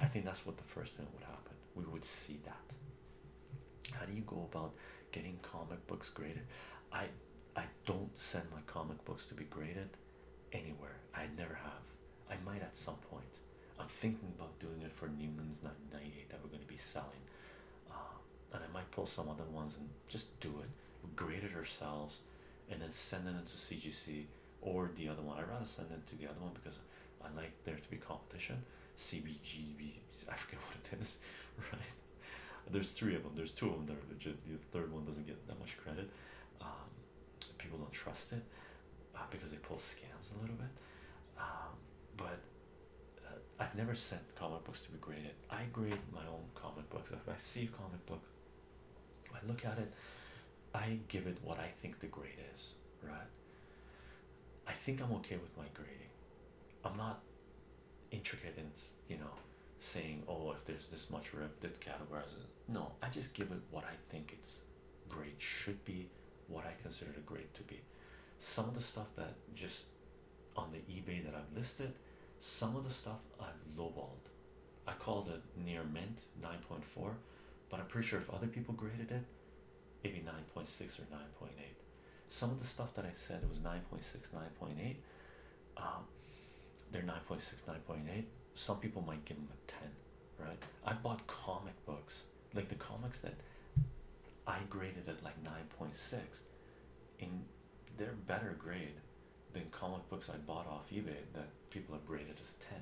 I think that's what the first thing would happen. We would see that. How do you go about getting comic books graded? I I don't send my comic books to be graded anywhere. I never have. I might at some point. I'm thinking about doing it for Newman's 998 that we're going to be selling. Uh, and I might pull some other ones and just do it. Grade it ourselves and then send it into CGC or the other one. i rather send it to the other one because I like there to be competition. CBGB, I forget what it is, right? There's three of them. There's two of them that are legit. The third one doesn't get that much credit. Um, people don't trust it uh, because they pull scams a little bit. Um, but uh, I've never sent comic books to be graded. I grade my own comic books. If I see a comic book, I look at it. I give it what I think the grade is, right? I think I'm okay with my grading. I'm not intricate in, you know, saying, oh, if there's this much rip, that categorize it. No, I just give it what I think its grade should be, what I consider a grade to be. Some of the stuff that just on the eBay that I've listed, some of the stuff I've lowballed. I called it near mint 9.4 but I'm pretty sure if other people graded it, maybe 9.6 or 9.8. Some of the stuff that I said it was 9.6, 9.8, um, they're 9.6, 9.8. Some people might give them a 10, right? I bought comic books, like the comics that I graded at like 9.6, in they're better grade than comic books I bought off eBay that people have graded as 10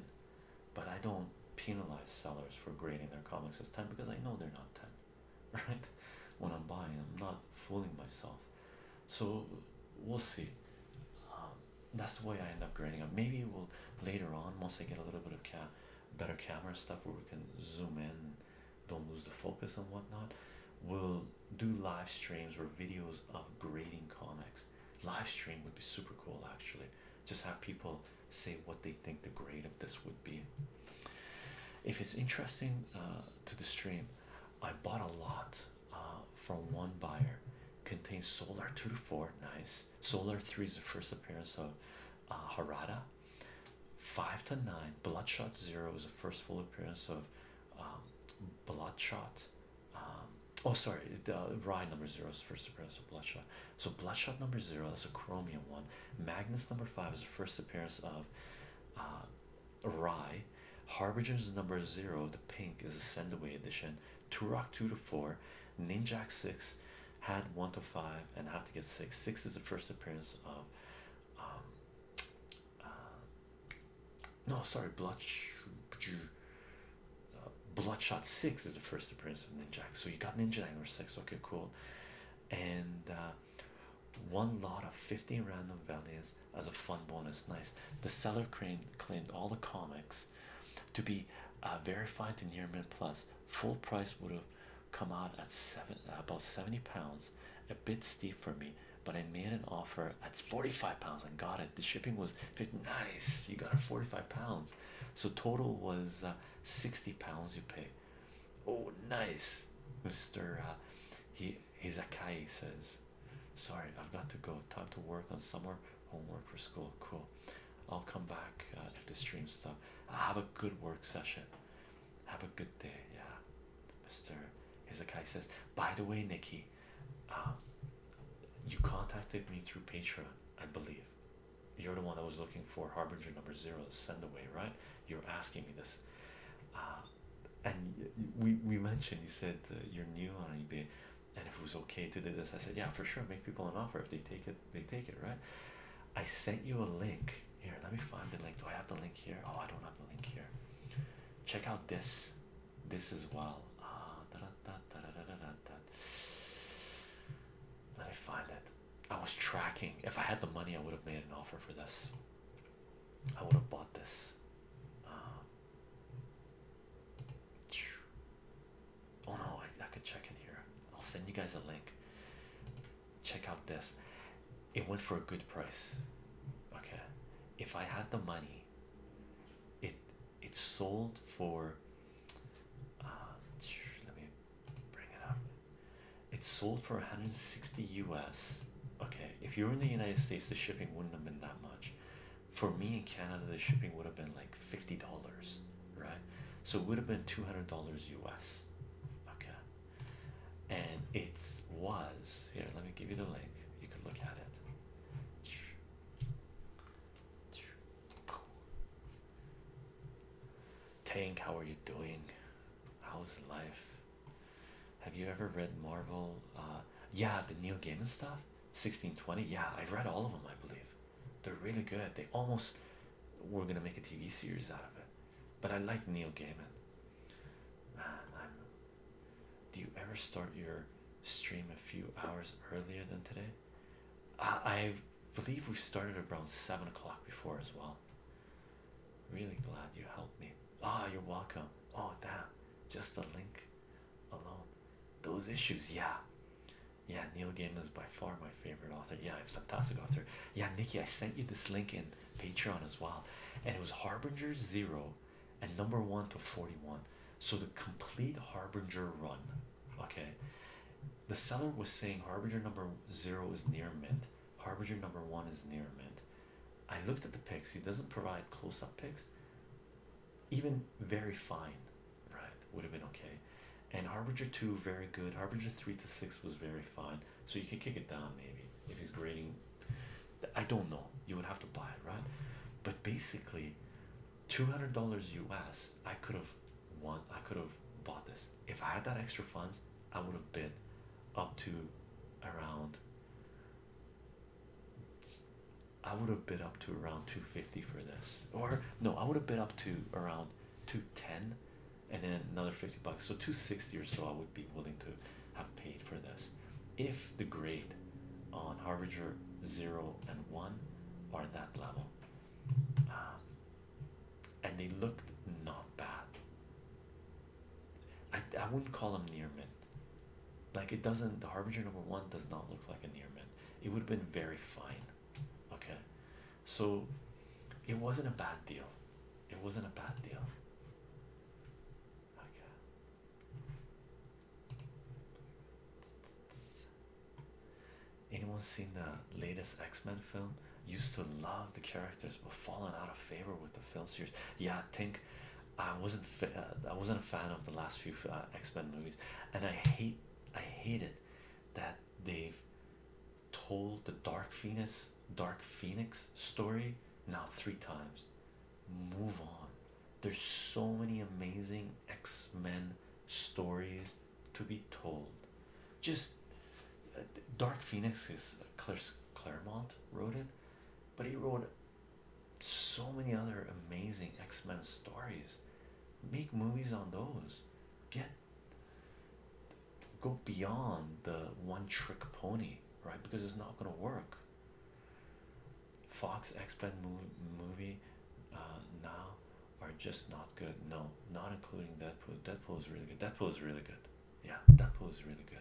but I don't penalize sellers for grading their comics as 10 because I know they're not 10, right? When I'm buying, I'm not fooling myself. So we'll see. Um, that's the way I end up grading them. Maybe we'll later on, once I get a little bit of ca better camera stuff where we can zoom in don't lose the focus and whatnot, we'll do live streams or videos of grading comics live stream would be super cool actually just have people say what they think the grade of this would be if it's interesting uh, to the stream i bought a lot uh, from one buyer contains solar 2 to 4 nice solar 3 is the first appearance of uh, harada 5 to 9 bloodshot 0 is the first full appearance of um, bloodshot um, oh, sorry, the Rye number zero is first appearance of Bloodshot. So Bloodshot number zero That's a chromium one. Magnus number five is the first appearance of uh, Rye. Harbinger's number zero, the pink, is a send away edition. Turok two to four, Ninjak six, had one to five, and had to get six. Six is the first appearance of. Um, uh, no, sorry, Bloodshot. Uh, Bloodshot 6 is the first appearance of Ninjak. So you got Ninja Angler 6. Okay, cool. And uh, one lot of 15 random values as a fun bonus. Nice. The seller crane claimed all the comics to be uh, verified to near mint plus. Full price would have come out at seven about 70 pounds. A bit steep for me, but I made an offer at 45 pounds and got it. The shipping was nice you got a 45 pounds so total was uh, 60 pounds you pay oh nice mr uh, he hizakai says sorry i've got to go time to work on summer homework for school cool i'll come back uh, if the stream stops have a good work session have a good day yeah mr hizakai says by the way nikki uh, you contacted me through Patreon, I believe. You're the one I was looking for, Harbinger number zero, send away, right? You're asking me this. Uh, and we, we mentioned, you said uh, you're new on eBay, and if it was okay to do this, I said, yeah, for sure, make people an offer. If they take it, they take it, right? I sent you a link. Here, let me find the link. Do I have the link here? Oh, I don't have the link here. Check out this this as well. Ah, da, da, da, da, da, da, da. Let me find it. I was tracking. If I had the money, I would have made an offer for this. I would have bought this. Uh, oh no, I, I could check in here. I'll send you guys a link. Check out this. It went for a good price. Okay. If I had the money, it it's sold for. Uh, let me bring it up. It's sold for 160 US. Okay, if you were in the United States, the shipping wouldn't have been that much. For me in Canada, the shipping would have been like $50, right? So it would have been $200 US. Okay, and it was here. Let me give you the link. You can look at it. Tank, how are you doing? How's life? Have you ever read Marvel? Uh, yeah, the Neil Gaiman stuff. 1620. Yeah, I've read all of them. I believe they're really good. They almost we're gonna make a TV series out of it. But I like Neil Gaiman. Man, I'm. Do you ever start your stream a few hours earlier than today? I believe we started around seven o'clock before as well. Really glad you helped me. Ah, you're welcome. Oh, damn, just the link alone. Those issues, yeah. Yeah, Neil Gaiman is by far my favorite author. Yeah, it's a fantastic author. Yeah, Nikki, I sent you this link in Patreon as well, and it was Harbinger Zero and number one to 41. So the complete Harbinger run Okay, the seller was saying harbinger number zero is near mint, harbinger number one is near mint. I looked at the pics, he doesn't provide close up pics, even very fine, right? Would have been okay. And harbinger two, very good, harbinger three to six was very fine, so you can kick it down maybe if he's grading. I don't know, you would have to buy it, right? But basically, $200 US, I could have won, I could have bought this. If I had that extra funds, I would have bid up to around, I would have bid up to around 250 for this, or no, I would have bid up to around 210 and then another 50 bucks, so 260 or so. I would be willing to have paid for this if the grade on harbinger 0 and 1 are that level um, and they looked not bad I, I wouldn't call them near mint like it doesn't the harbinger number one does not look like a near mint it would have been very fine okay so it wasn't a bad deal it wasn't a bad deal okay Anyone seen the latest X-Men film? Used to love the characters, but fallen out of favor with the film series. Yeah, I think I wasn't uh, I wasn't a fan of the last few uh, X-Men movies, and I hate I hated that they've told the Dark Phoenix Dark Phoenix story now three times. Move on. There's so many amazing X-Men stories to be told. Just uh, Dark Phoenix is uh, Claremont wrote it, but he wrote so many other amazing X-Men stories. Make movies on those. Get go beyond the one trick pony, right? Because it's not gonna work. Fox X-Men movie uh, now are just not good. No, not including Deadpool. Deadpool is really good. Deadpool is really good. Yeah, Deadpool is really good.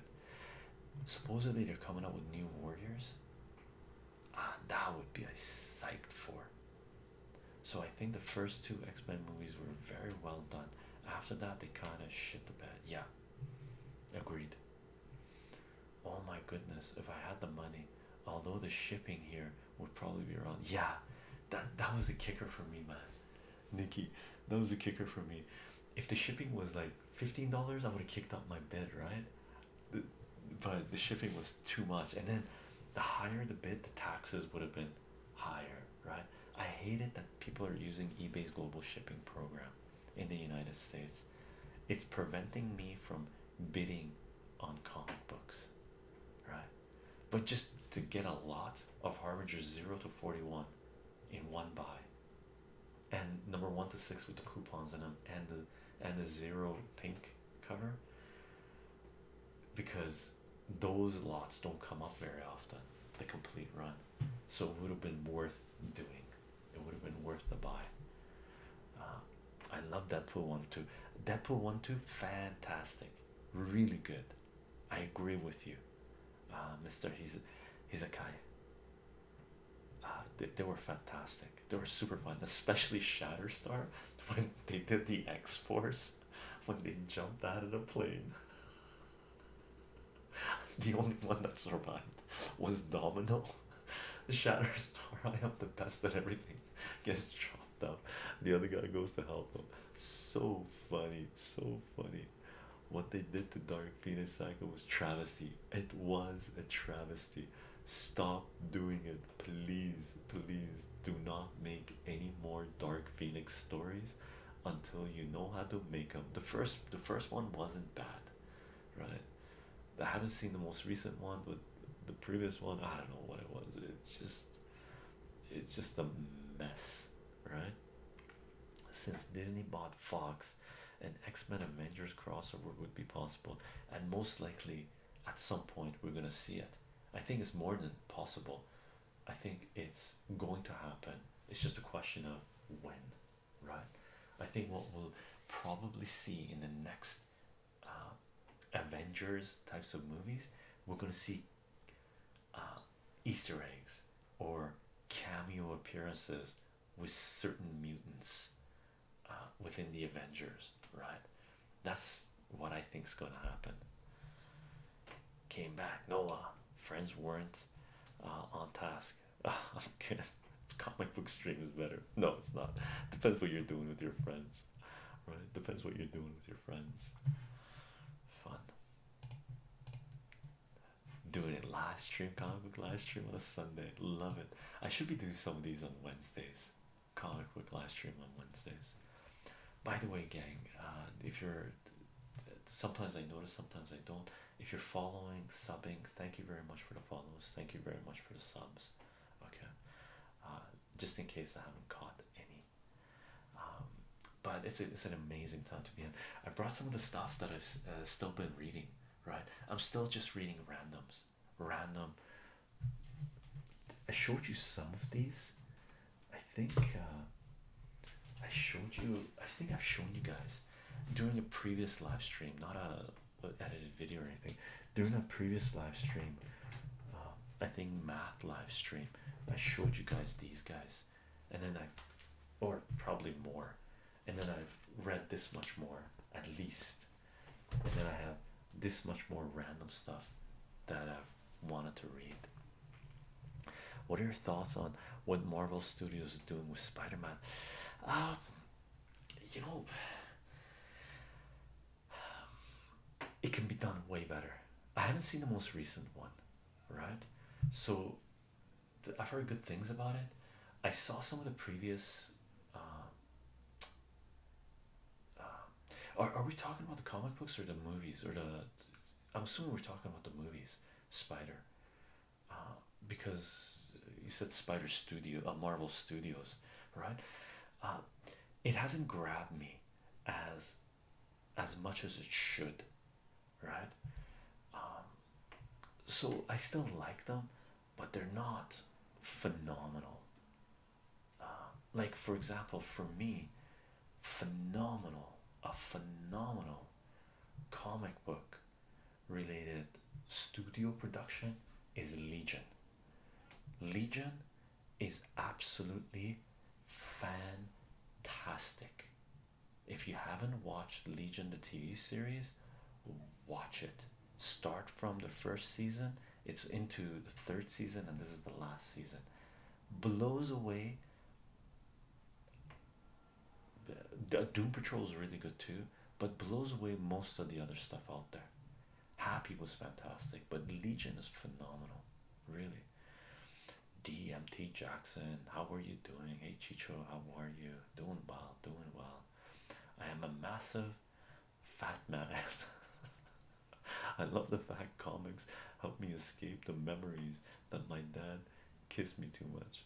Supposedly they're coming out with new Warriors. Ah, that would be I psyched for. So I think the first two X-Men movies were very well done. After that, they kind of shit the bed. Yeah, agreed oh my goodness if i had the money although the shipping here would probably be around yeah that that was a kicker for me man nikki that was a kicker for me if the shipping was like $15 i would have kicked out my bid right but the shipping was too much and then the higher the bid the taxes would have been higher right i hate it that people are using ebay's global shipping program in the united states it's preventing me from bidding on comic books, right? But just to get a lot of Harbinger 0 to 41 in one buy, and number 1 to 6 with the coupons in them, and the, and the zero pink cover, because those lots don't come up very often, the complete run. So it would have been worth doing, it would have been worth the buy. Uh, I love that Deadpool one two. Deadpool one two, fantastic, really good. I agree with you, uh, Mister. He's he's a guy. Uh, they, they were fantastic. They were super fun, especially Shatterstar when they did the X Force when they jumped out of the plane. the only one that survived was Domino. Shatterstar, I am the best at everything. Gets chopped up. The other guy goes to help him. So funny, so funny. What they did to Dark Phoenix cycle was travesty. It was a travesty. Stop doing it, please. Please do not make any more Dark Phoenix stories until you know how to make them. The first, the first one wasn't bad, right? I haven't seen the most recent one, but the previous one, I don't know what it was. It's just, it's just a mess, right? Since Disney bought Fox, an X Men Avengers crossover would be possible, and most likely at some point we're gonna see it. I think it's more than possible. I think it's going to happen. It's just a question of when, right? I think what we'll probably see in the next uh, Avengers types of movies, we're going to see uh, Easter eggs or cameo appearances with certain mutants uh, within the Avengers, right? That's what I think is going to happen. Came back, Noah. Friends weren't on task. I'm kidding. Comic book stream is better. No, it's not. Depends what you're doing with your friends right? Depends what you're doing with your friends. Fun. Doing it live stream, comic live stream on a Sunday. Love it. I should be doing some of these on Wednesdays. Comic book live stream on Wednesdays. By the way, gang, uh, if you're sometimes I notice, sometimes I don't. If you're following, subbing, thank you very much for the follows. Thank you very much for the subs. Okay, uh, just in case I haven't caught any. Um, but it's it's an amazing time to be in. I brought some of the stuff that I've uh, still been reading. Right, I'm still just reading randoms. Random. I showed you some of these. I think uh, I showed you. I think I've shown you guys during a previous live stream, not a uh, edited video or anything during a previous live stream. Uh, I think math live stream. I showed you guys these guys, and then I've, or probably more, and then I've read this much more at least, and then I have this much more random stuff that I've wanted to read. What are your thoughts on what Marvel Studios is doing with Spider Man? Um, you know, it can be done way better. I haven't seen the most recent one, right? So I've heard good things about it. I saw some of the previous. Um, um, are, are we talking about the comic books or the movies or the? I'm assuming we're talking about the movies. Spider, uh, because you said Spider Studio, uh, Marvel Studios, right? uh, it hasn't grabbed me as as much as it should right um, so I still like them but they're not phenomenal uh, like for example for me phenomenal a phenomenal comic book related studio production is Legion Legion is absolutely fantastic. If you haven't watched Legion, the TV series, watch it. Start from the first season, it's into the third season, and this is the last season. Blows away. Uh, Doom Patrol is really good too, but blows away most of the other stuff out there. Happy was fantastic, but Legion is phenomenal, really. DMT Jackson, how are you doing? Hey Chicho, how are you? Doing well, doing well. I am a massive fat man. I love the fact comics help me escape the memories that my dad kissed me too much.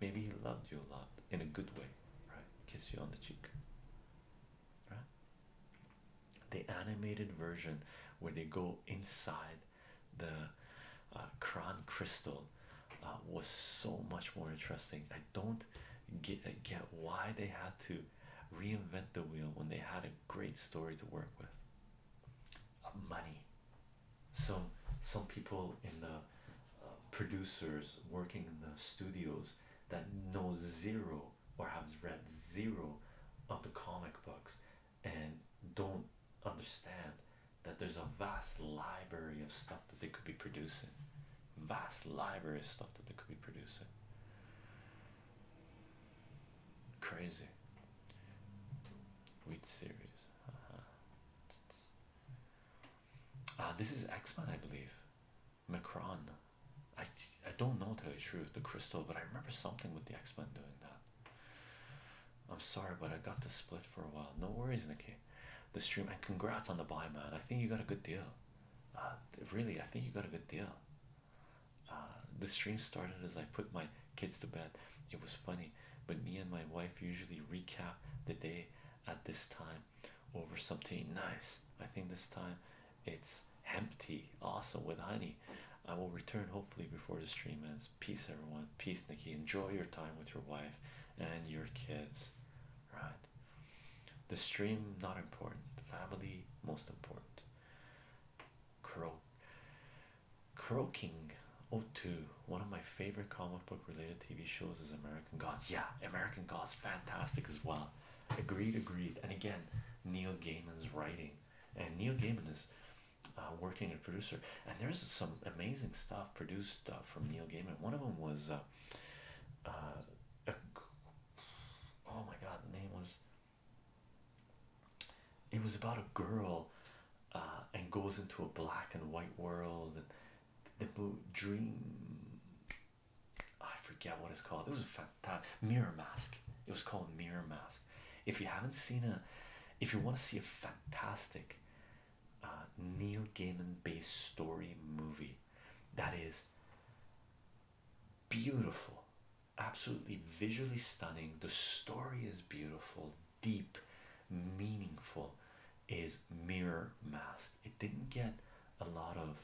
Maybe he loved you a lot in a good way, right? Kiss you on the cheek. The animated version where they go inside the uh, crystal uh, was so much more interesting. I don't get get why they had to reinvent the wheel when they had a great story to work with. Uh, money. So some people in the uh, producers working in the studios that know zero or have read zero of the comic books and don't understand that there's a vast library of stuff that they could be producing. Vast library of stuff that they could be producing. Crazy. Wheat series. Uh-huh. Uh, this is X Men, I believe. Macron. I I don't know to the truth the crystal, but I remember something with the X Men doing that. I'm sorry, but I got the split for a while. No worries, Nikki. The stream and congrats on the buy, man. I think you got a good deal. Uh, really, I think you got a good deal. Uh, the stream started as I put my kids to bed. It was funny, but me and my wife usually recap the day at this time over something nice. I think this time it's empty. tea, awesome with honey. I will return hopefully before the stream ends. Peace, everyone. Peace, Nikki. Enjoy your time with your wife and your kids. Right. The stream not important. Family most important. Croak. Croaking. Oh, two. One of my favorite comic book related TV shows is American Gods. Yeah, American Gods, fantastic as well. Agreed, agreed. And again, Neil Gaiman's writing, and Neil Gaiman is uh, working a producer. And there's some amazing stuff produced uh, from Neil Gaiman. One of them was, uh, uh oh my God, the name was. It was about a girl, uh, and goes into a black and white world, and the dream Oh, I forget what it's called. It was a fantastic mirror mask. It was called Mirror Mask. If you haven't seen a, if you want to see a fantastic uh, Neil Gaiman based story movie that is beautiful, absolutely visually stunning, the story is beautiful, deep, meaningful, is Mirror Mask. It didn't get a lot of.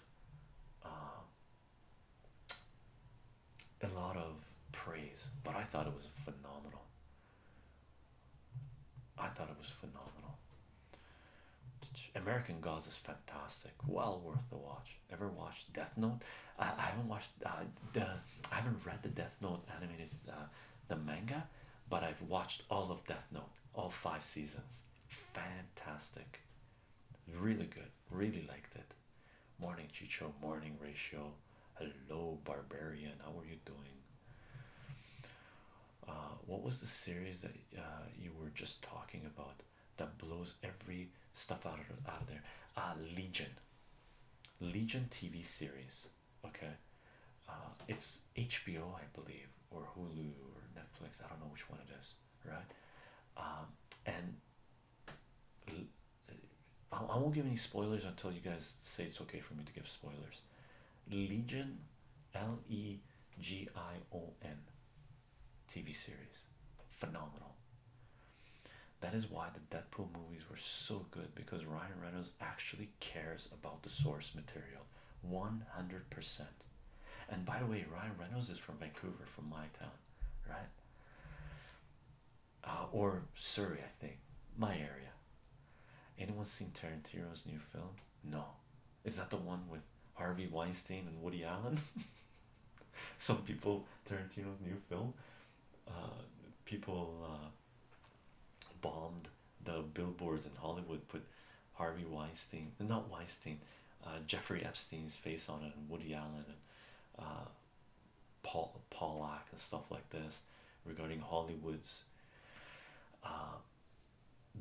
Uh, a lot of praise, but I thought it was phenomenal. I thought it was phenomenal. American Gods is fantastic, well worth the watch. Ever watched Death Note? I, I haven't watched uh, the I haven't read the Death Note animated uh, the manga, but I've watched all of Death Note, all five seasons. Fantastic, Really good. Really liked it. Morning Chicho. Morning Ratio. Hello Barbarian. How are you doing? Uh, what was the series that uh, you were just talking about that blows every stuff out of, out there? Uh, Legion. Legion TV series. Okay. Uh, it's HBO, I believe, or Hulu or Netflix. I don't know which one it is right? Um, and I won't give any spoilers until you guys say it's okay for me to give spoilers. Legion, L E G I O N, TV series, phenomenal. That is why the Deadpool movies were so good because Ryan Reynolds actually cares about the source material 100%. And by the way, Ryan Reynolds is from Vancouver, from my town, right? Uh, or Surrey, I think, my area. Anyone seen Tarantino's new film? No. Is that the one with Harvey Weinstein and Woody Allen? Some people, Tarantino's new film, uh, people uh, bombed the billboards in Hollywood, put Harvey Weinstein, not Weinstein, uh, Jeffrey Epstein's face on it, and Woody Allen and uh, Paul Pollack and stuff like this regarding Hollywood's uh,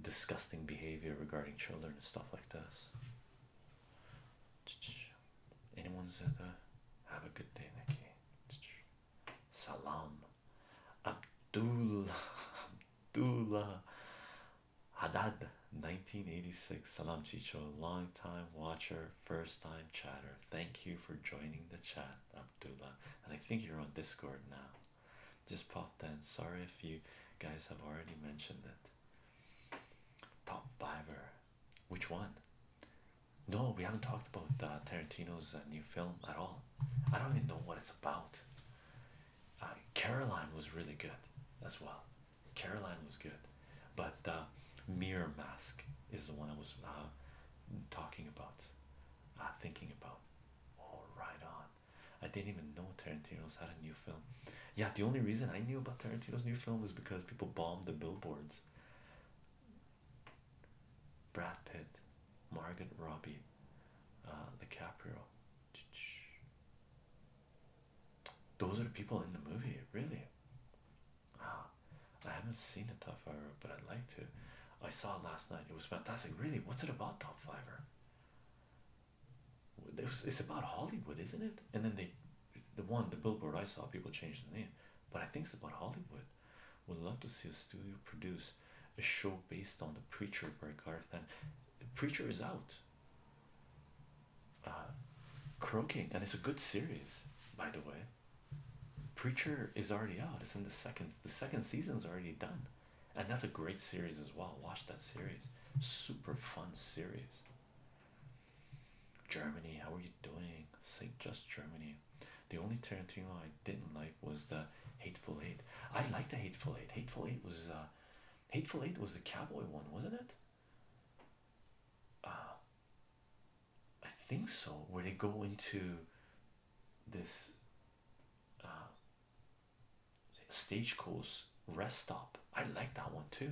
disgusting behavior regarding children and stuff like this. Anyone's at have a good day, Nikki. Salam, Abdullah, Abdullah, Hadad, 1986 Salam Chicho long time watcher first time chatter thank you for joining the chat Abdullah and I think you're on Discord now just popped in sorry if you guys have already mentioned it top fiver which one no we haven't talked about uh, Tarantino's uh, new film at all I don't even know what it's about uh, Caroline was really good as well Caroline was good, but uh, Mirror Mask is the one I was uh, talking about, uh, thinking about. All oh, right on. I didn't even know Tarantino's had a new film. Yeah, the only reason I knew about Tarantino's new film was because people bombed the billboards. Brad Pitt, Margot Robbie, uh, DiCaprio. Those are the people in the movie, really. Ah, I haven't seen a top fiver, but I'd like to. I saw it last night. It was fantastic. Really, what's it about? Top fiver. It's about Hollywood, isn't it? And then they, the one, the billboard I saw, people change the name, but I think it's about Hollywood. Would love to see a studio produce a show based on the Preacher by Garth. And Preacher is out. Uh, croaking, and it's a good series, by the way. Preacher is already out; it's in the second. The second season's already done, and that's a great series as well. Watch that series; super fun series. Germany, how are you doing? Saint just Germany. The only Tarantino I didn't like was the Hateful Eight. I liked the Hateful Eight. Hateful Eight was uh, Hateful Eight was the cowboy one, wasn't it? Um, I think so. Where they go into this uh, stagecoach rest stop. I like that one too.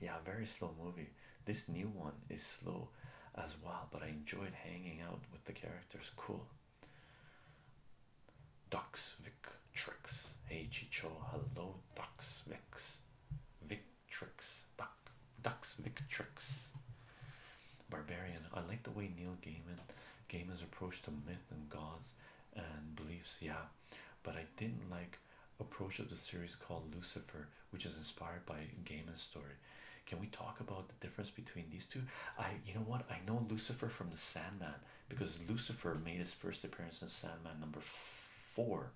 Yeah, very slow movie. This new one is slow as well, but I enjoyed hanging out with the characters. Cool. Ducks Duxvic Tricks. Hey Chicho, hello ducks Duxvix. Vic Tricks. Duck Duxvic Tricks. Barbarian. I like the way Neil Gaiman is approach to myth and gods and beliefs, yeah. But I didn't like approach of the series called Lucifer, which is inspired by Gaiman's story. Can we talk about the difference between these two? I you know what I know Lucifer from the Sandman because Lucifer made his first appearance in Sandman number four,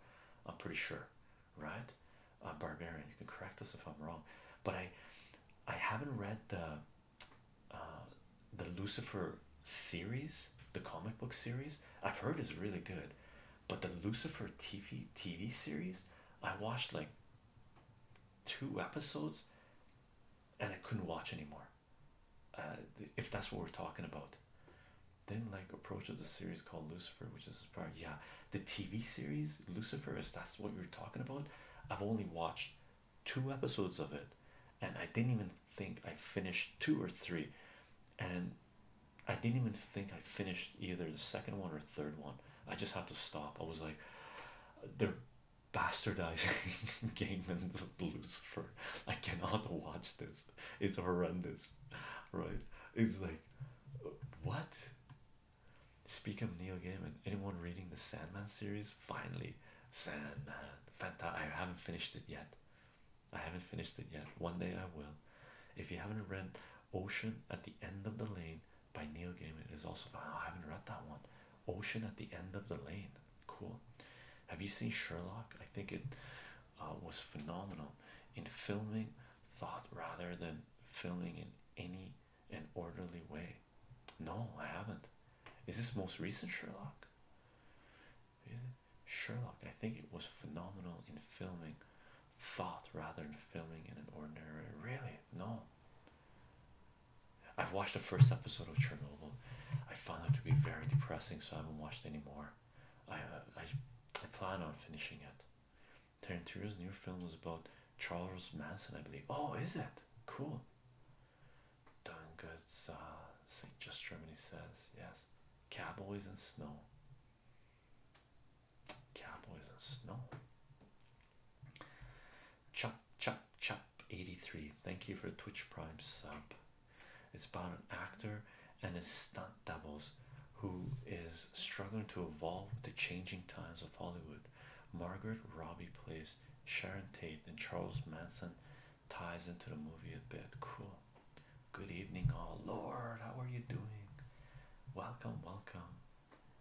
I'm pretty sure, right? Uh, Barbarian, you can correct us if I'm wrong, but I, I haven't read the, uh, the Lucifer series, the comic book series. I've heard is really good, but the Lucifer TV TV series, I watched like two episodes, and I couldn't watch anymore uh, if that's what we're talking about. then like approach of the series called Lucifer, which is part yeah, the TV series Lucifer. Is that's what you're talking about? I've only watched two episodes of it, and I didn't even think I finished two or three, and I didn't even think I finished either the second one or third one. I just had to stop. I was like, they bastardizing Gaiman's Lucifer. I cannot watch this. It's horrendous, right? It's like, what? Speak of Neil Gaiman. Anyone reading the Sandman series? Finally, Sandman. Fanta. I haven't finished it yet. I haven't finished it yet. One day I will. If you haven't read Ocean at the End of the Lane by Neil Gaiman, is also. Oh, I haven't read that one ocean at the end of the lane. Cool. Have you seen Sherlock? I think it uh, was phenomenal in filming thought rather than filming in any an orderly way. No, I haven't. Is this most recent Sherlock? Sherlock, I think it was phenomenal in filming thought rather than filming in an ordinary. Really? No. I've watched the first episode of Chernobyl. I found it to be very depressing, so I haven't watched anymore. I, uh, I I plan on finishing it. Tarantino's new film is about Charles Manson, I believe. Oh, is it? Cool. Done good. Uh, St. Just Germany says yes. Cowboys and snow. Cowboys and snow. Chop, chop, chop, 83 thank you for twitch prime sub it's about an actor and his stunt doubles who is struggling to evolve with the changing times of hollywood margaret robbie plays sharon tate and charles manson ties into the movie a bit cool good evening all oh lord how are you doing welcome welcome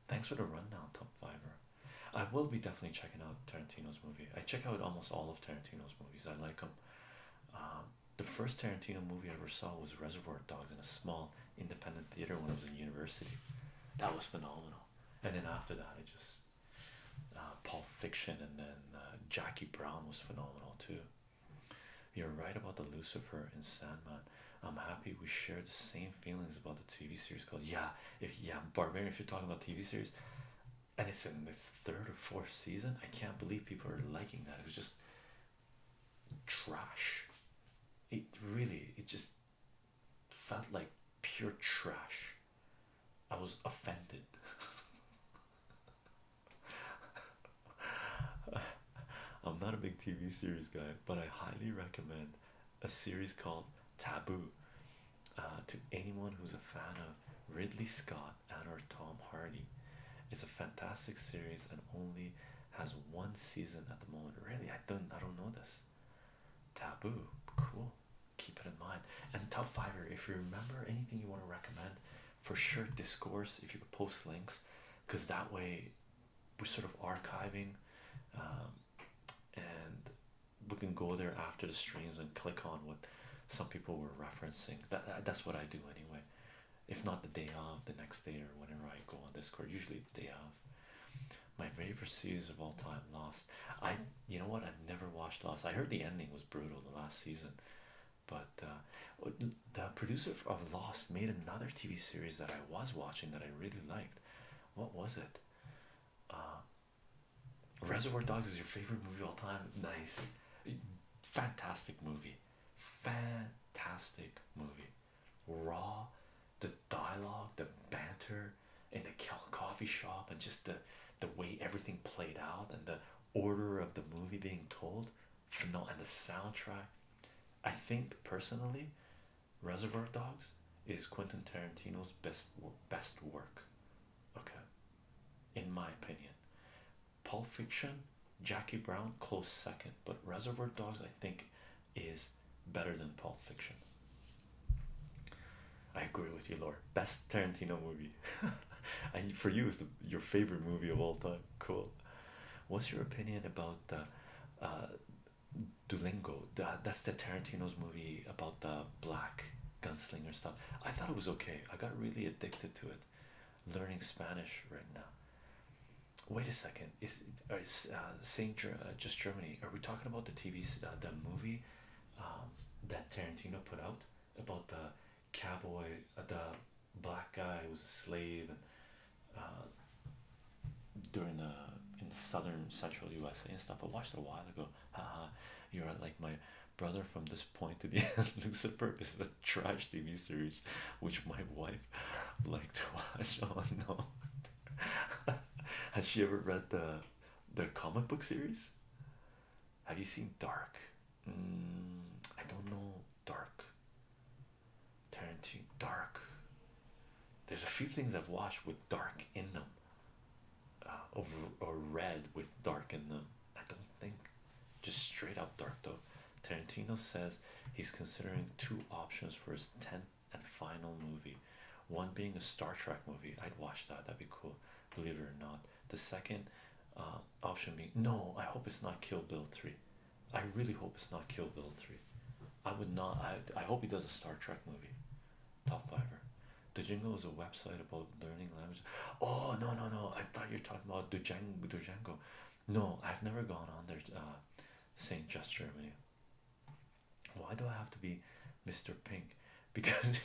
thanks for the rundown top fiver i will be definitely checking out tarantino's movie i check out almost all of tarantino's movies movies. I like them. Um, the first Tarantino movie I ever saw was Reservoir Dogs in a small independent theater when I was in university. That was phenomenal. And then after that, I just Paul uh, Pulp and then uh, Jackie Brown was phenomenal too. You're right about the Lucifer and Sandman. I'm happy we share the same feelings about the TV series called Yeah. If yeah, Barbarian, if you're talking about TV series, and it's in this third or fourth season. I can't believe people are liking that. It was just trash. It really, it just felt like pure trash. I was offended. I'm not a big TV series guy, but I highly recommend a series called Taboo uh, to anyone who's a fan of Ridley Scott and or Tom Hardy. It's a fantastic series and only has one season at the moment. Really, I don't I don't know this. Taboo, cool. Keep it in mind. And top fiver, if you remember anything you want to recommend, for sure discourse if you could post links, because that way we're sort of archiving um, and we can go there after the streams and click on what some people were referencing. That that's what I do anyway. If not the day off, the next day or whenever I go on Discord, usually the day off. My favorite series of all time, Lost. I you know what? I've never watched Lost. I heard the ending was brutal the last season, but uh, oh, the producer of Lost made another TV series that I was watching that I really liked. What was it? Uh, Reservoir Dogs is your favorite movie of all time. Nice, fantastic movie, fantastic movie. Raw, the dialogue, the banter in the coffee shop, and just the the way everything played out and the order of the movie being told. and the soundtrack. I think personally, Reservoir Dogs is Quentin Tarantino's best best work. Okay in my opinion. Pulp Fiction, Jackie Brown, close second, but Reservoir Dogs, I think, is better than Pulp Fiction. I agree with you, Lord. Best Tarantino movie, and for you, is the your favorite movie of all time. Cool. What's your opinion about the uh, uh that's the Tarantino's movie about the black gunslinger stuff. I thought it was okay. I got really addicted to it. Learning Spanish right now. Wait a second. Is uh, uh Saint uh, just Germany? Are we talking about the TV uh, the movie um, that Tarantino put out about the cowboy, the black guy who was a slave and during the in southern central USA and stuff? I watched it a while ago. Uh, you're like my brother from this point to the end lucifer is a trash tv series which my wife liked to watch oh no has she ever read the their comic book series have you seen dark mm, i don't know dark Tarantino dark there's a few things I've watched with dark in them uh, of or red with dark in them. I don't think just straight up dark though. Tarantino says he's considering two options for his 10th and final movie one being a Star Trek movie. I'd watch that, that'd be cool, believe it or not. The second uh, option being no, I hope it's not Kill Bill 3. I really hope it's not Kill Bill 3. I would not, I, I hope he does a Star Trek movie. Top fiver. Django is a website about learning languages. Oh no no no! I thought you are talking about Django. Django. No, I've never gone on there. Uh, Saint Just Germany. Why do I have to be Mr. Pink? Because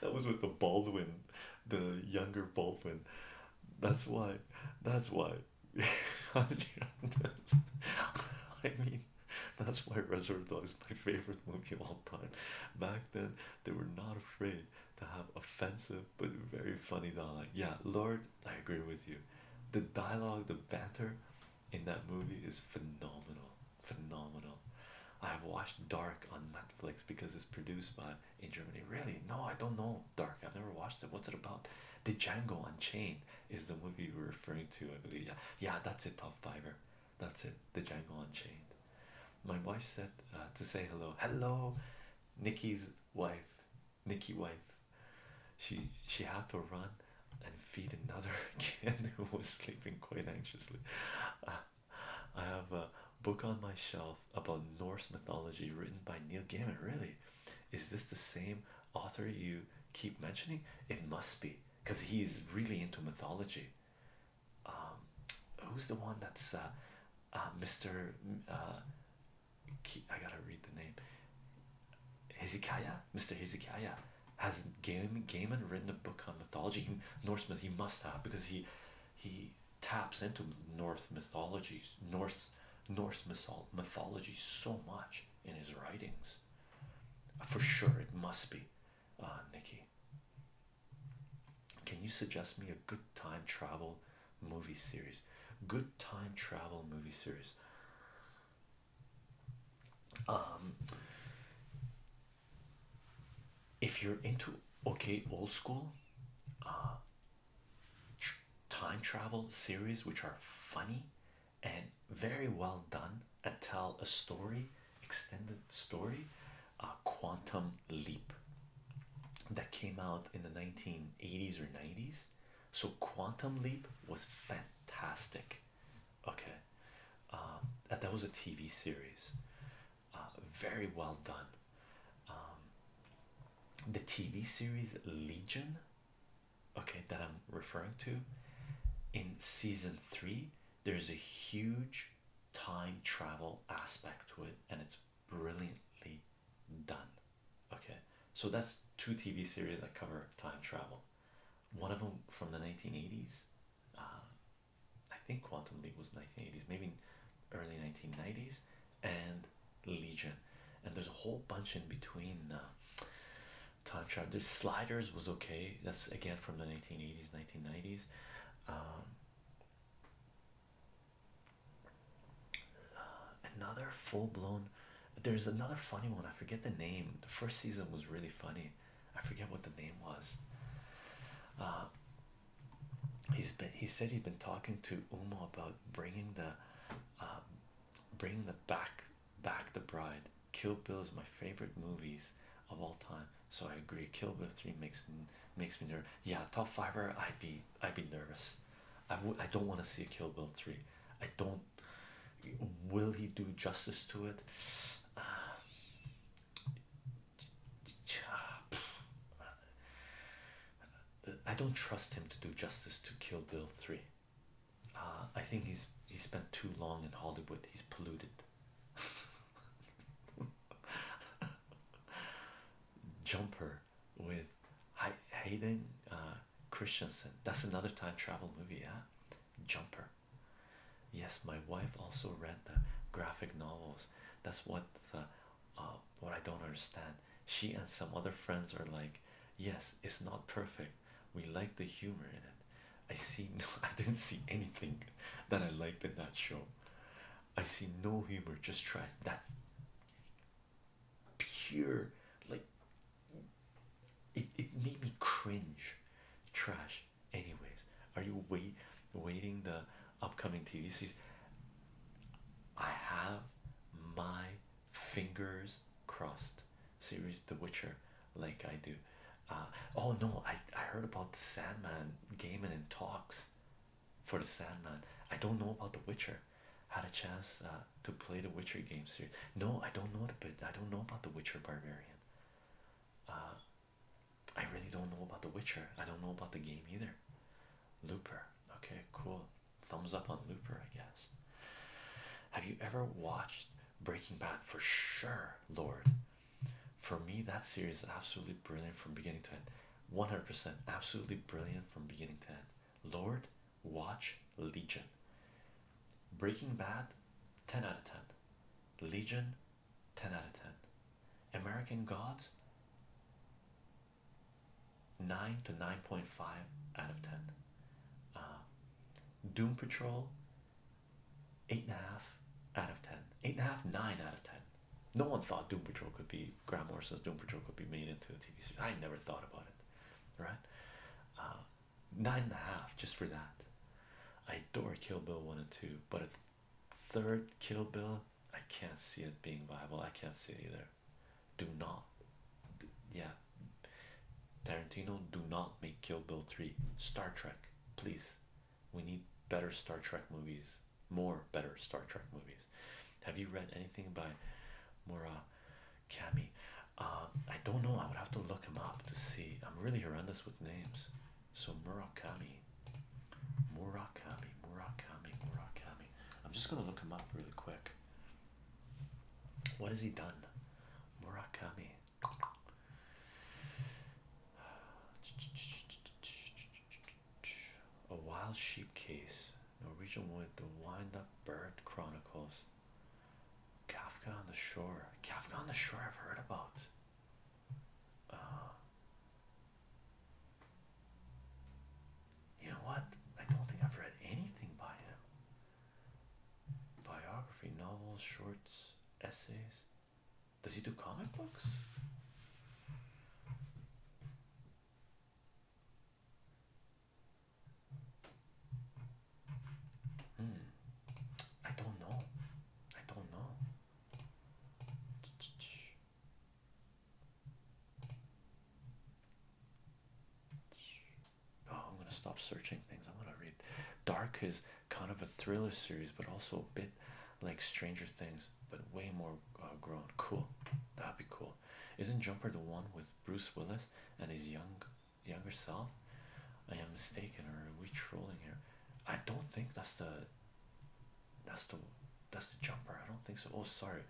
that was with the Baldwin, the younger Baldwin. That's why. That's why. I mean, That's why Reservoir Dogs is my favorite movie of all time. Back then, they were not afraid to have offensive but very funny dialogue. Yeah, Lord, I agree with you. The dialogue, the banter in that movie is phenomenal. Phenomenal. I have watched Dark on Netflix because it's produced by in Germany. Really? No, I don't know Dark. I've never watched it. What's it about? The Django Unchained is the movie you are referring to, I believe. Yeah, yeah, that's a Top fiver. That's it. The Django Unchained. My wife said uh, to say hello. Hello, Nikki's wife. Nikki wife. She she had to run and feed another kid who was sleeping quite anxiously. Uh, I have a book on my shelf about Norse mythology written by Neil Gaiman. Really, is this the same author you keep mentioning? It must be because he is really into mythology. Um, who's the one that's uh, uh, Mr. Uh, I gotta read the name. Hezekiah, Mr. Hezekiah, has Game and written a book on mythology? Norse myth, he must have because he he taps into North mythologies, North Norse mythology so much in his writings. For sure, it must be, uh, Nikki. Can you suggest me a good time travel movie series? Good time travel movie series. Um, if you're into okay old school uh, time travel series, which are funny and very well done and tell a story, extended story, uh, Quantum Leap that came out in the 1980s or 90s. So, Quantum Leap was fantastic. Okay, um, and that was a TV series, uh, very well done. Um, the TV series Legion, okay, that I'm referring to in season three, there's a huge time travel aspect to it, and it's brilliantly done. Okay, so that's two TV series that cover time travel. One of them from the 1980s, uh, I think Quantum Leap was 1980s, maybe early 1990s, and Legion. And there's a whole bunch in between. Uh, time travel. There's sliders was okay. That's again from the 1980s, 1990s. Um, uh, another full-blown there's another funny one i forget the name the first season was really funny i forget what the name was uh, he's been he said he's been talking to uma about bringing the uh, bringing the back back the bride kill bill is my favorite movies of all time so I agree. Kill Bill three makes makes me nervous. Yeah, top fiver. I'd be I'd be nervous. I would. I don't want to see a Kill Bill three. I don't. Will he do justice to it? I don't trust him to do justice to Kill Bill three. Uh, I think he's he spent too long in Hollywood. He's polluted. Jumper with Hayden uh, Christensen. That's another time travel movie, yeah. Jumper. Yes, my wife also read the graphic novels. That's what the, uh, what I don't understand. She and some other friends are like, yes, it's not perfect. We like the humor in it, I see no, I didn't see anything that I liked in that show. I see no humor, just trash. That's pure, like it, it made me cringe. Trash, anyways. Are you wait waiting the upcoming TV series? I have my fingers crossed. Series The Witcher, like I do. Uh, oh no, I, I heard about the Sandman gaming and talks for the Sandman. I don't know about The Witcher. Had a chance uh, to play the Witcher game series. No, I don't know the I don't know about The Witcher Barbarian. Uh, I really don't know about The Witcher. I don't know about the game either. Looper. Okay, cool. Thumbs up on Looper, I guess. Have you ever watched Breaking Bad? For sure, Lord. For me, that series absolutely brilliant from beginning to end. 100% absolutely brilliant from beginning to end. Lord, watch Legion. Breaking Bad, 10 out of 10. Legion, 10 out of 10. American Gods, 9 to 9.5 out of 10. Uh, Doom Patrol, eight and a half out of ten. Eight and a half, nine out of ten. No one thought Doom Patrol could be Graham Morrison's Doom Patrol could be made into a TV series. I never thought about it, right? Uh, nine and a half just for that. I adore Kill Bill one and two, but a third Kill Bill, I can't see it being viable. I can't see it either. Do not, yeah. Tarantino, do not make Kill Bill three. Star Trek, please. We need better Star Trek movies, more better Star Trek movies. Have you read anything by Murakami? Um, I don't know. I would have to look him up to see. I'm really horrendous with names. So Murakami, Murakami, Murakami, Murakami. I'm just gonna look him up really quick. What has he done? Murakami. A Wild Sheep Case, Norwegian Wood, The Wind Up Bird Chronicles, Kafka on the Shore. Kafka on the Shore, I've heard about. Uh, you know what? I don't think I've read anything by him. Biography, novels, shorts, essays. Does he do comic books? Hmm. I don't know. I don't know. Oh, I'm gonna stop searching things. I'm gonna read. Dark is kind of a thriller series, but also a bit like Stranger Things, but way more uh, grown. Cool, that'd be cool. Isn't Jumper the one with Bruce Willis and his young, younger self? I am mistaken, or are we trolling here? I don't think that's the. That's the, that's the Jumper. I don't think so. Oh, sorry,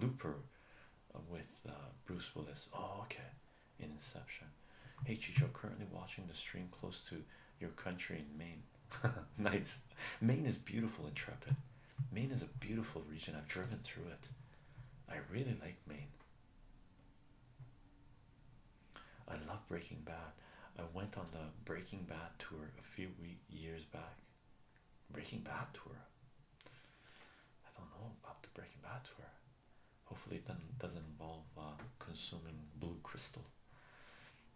Looper, uh, with uh, Bruce Willis. Oh, okay. Inception. Hey Chicho, currently watching the stream close to your country in Maine. nice. Maine is beautiful, and trepid. Maine is a beautiful region. I've driven through it. I really like Maine. I love Breaking Bad. I went on the Breaking Bad tour a few years back. Breaking Bad tour. I don't know about the Breaking Bad tour. Hopefully, it doesn't involve uh, consuming blue crystal.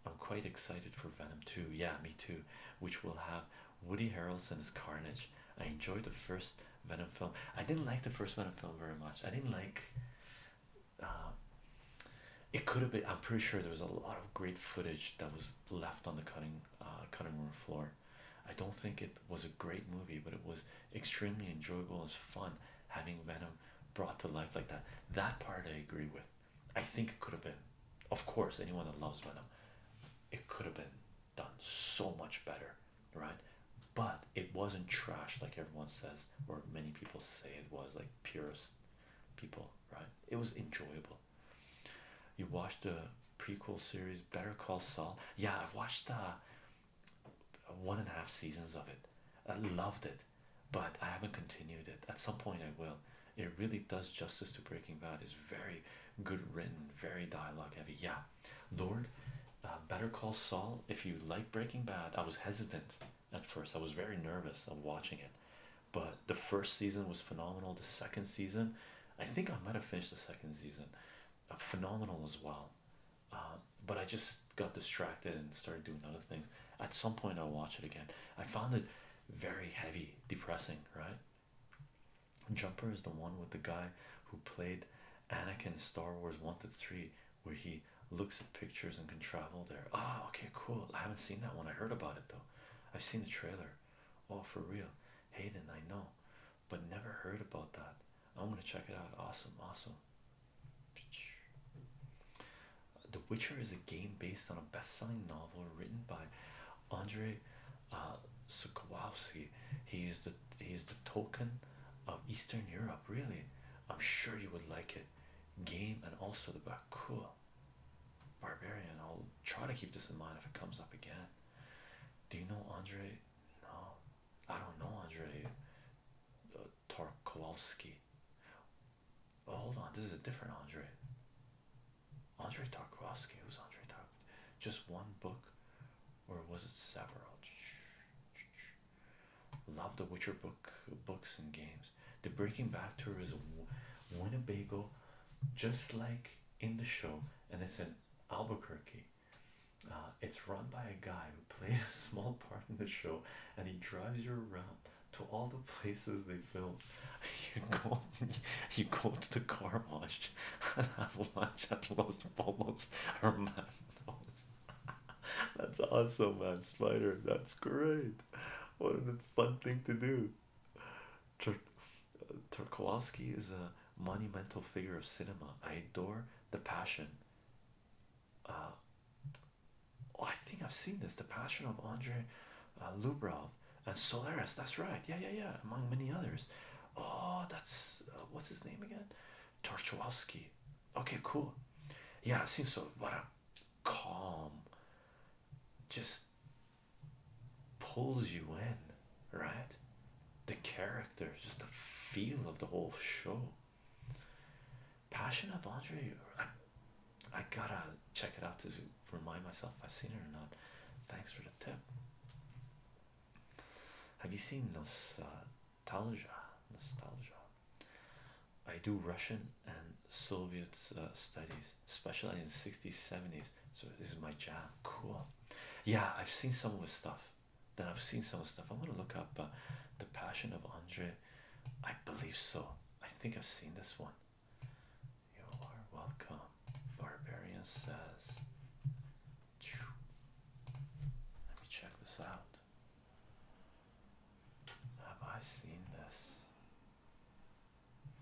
I'm quite excited for Venom 2. Yeah, me too. Which will have Woody Harrelson as Carnage. I enjoyed the first Venom film. I didn't like the first Venom film very much. I didn't like. Um, it could have been. I'm pretty sure there was a lot of great footage that was left on the cutting uh, cutting room floor. I don't think it was a great movie, but it was extremely enjoyable. It's fun having Venom brought to life like that. That part I agree with. I think it could have been, of course, anyone that loves Venom, it could have been done so much better, right? But it wasn't trash like everyone says, or many people say it was, like purest people, right? It was enjoyable. You watched the prequel series Better Call Saul. Yeah, I've watched uh, one and a half seasons of it. I loved it but I haven't continued it. At some point, I will. It really does justice to Breaking Bad. It's very good written, very dialogue heavy. Yeah, Lord, uh, Better Call Saul. If you like Breaking Bad, I was hesitant at first. I was very nervous of watching it, but the first season was phenomenal. The second season, I think I might have finished the second season. Uh, phenomenal as well. Uh, but I just got distracted and started doing other things. At some point, I'll watch it again. I found it very heavy, depressing, right? Jumper is the one with the guy who played Anakin Star Wars 1 to 3, where he looks at pictures and can travel there. Oh, okay, cool. I haven't seen that one. I heard about it though. I've seen the trailer. Oh, for real. Hayden, I know, but never heard about that. I'm gonna check it out. Awesome, awesome. The Witcher is a game based on a best-selling novel written by Andre uh, Sukowski. He's the he's the token of Eastern Europe. Really, I'm sure you would like it. Game and also the book. Cool. Barbarian. I'll try to keep this in mind if it comes up again. Do you know Andre? No, I don't know Andre. Uh, Tarkovsky. Oh, hold on, this is a different Andre. Andre Tarkovsky. Who's Andre Tarkovsky? Just one book, or was it several? Love the Witcher book, books and games. The Breaking Back tour is Winnebago, just like in the show, and it's in Albuquerque. Uh, it's run by a guy who played a small part in the show, and he drives you around to all the places they filmed, You go, you go to the car wash and have lunch at Los Bobos or Mandos. That's awesome, man. Spider, that's great. What a fun thing to do. Tur uh, Turkowski is a monumental figure of cinema. I adore the passion. Uh, Oh, I think I've seen this. The Passion of Andre uh, and Solaris. That's right. Yeah, yeah, yeah. Among many others. Oh, that's uh, what's his name again? Torchowski. Okay, cool. Yeah, I've so. What a calm. Just pulls you in, right? The character, just the feel of the whole show. Passion of Andre. I, gotta check it out to remind myself if I've seen it or not. Thanks for the tip. Have you seen Nostalgia? Nostalgia. I do Russian and Soviet uh, studies, especially in 60s, 70s. So this is my jam. Cool. Yeah, I've seen some of his stuff. Then I've seen some of his stuff. I am going to look up uh, the Passion of Andre I believe so. I think I've seen this one. You are welcome. Barbarian says. Let me check this out. Have I seen this?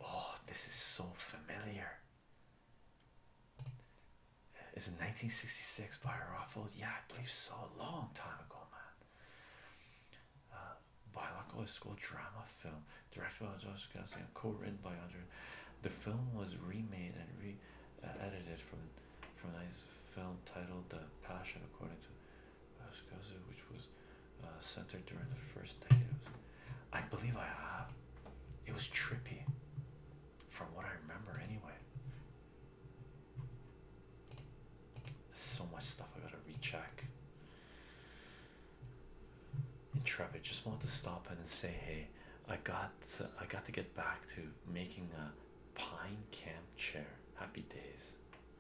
Oh, this is so familiar. Is it 1966 by Raffle? Yeah, I believe so. A long time ago, man uh, biological school drama film directed by Joseph Gassi and co-written by Andre. The film was remade and re-edited uh, from from a film titled The Passion, according to Gassi, uh, which was uh, centered during the first decade. I believe I have. It was trippy, from what I remember, anyway. There's so much stuff I gotta recheck. Intrepid just want to stop in and say, "Hey, I got I got to get back to making a pine camp chair. Happy days,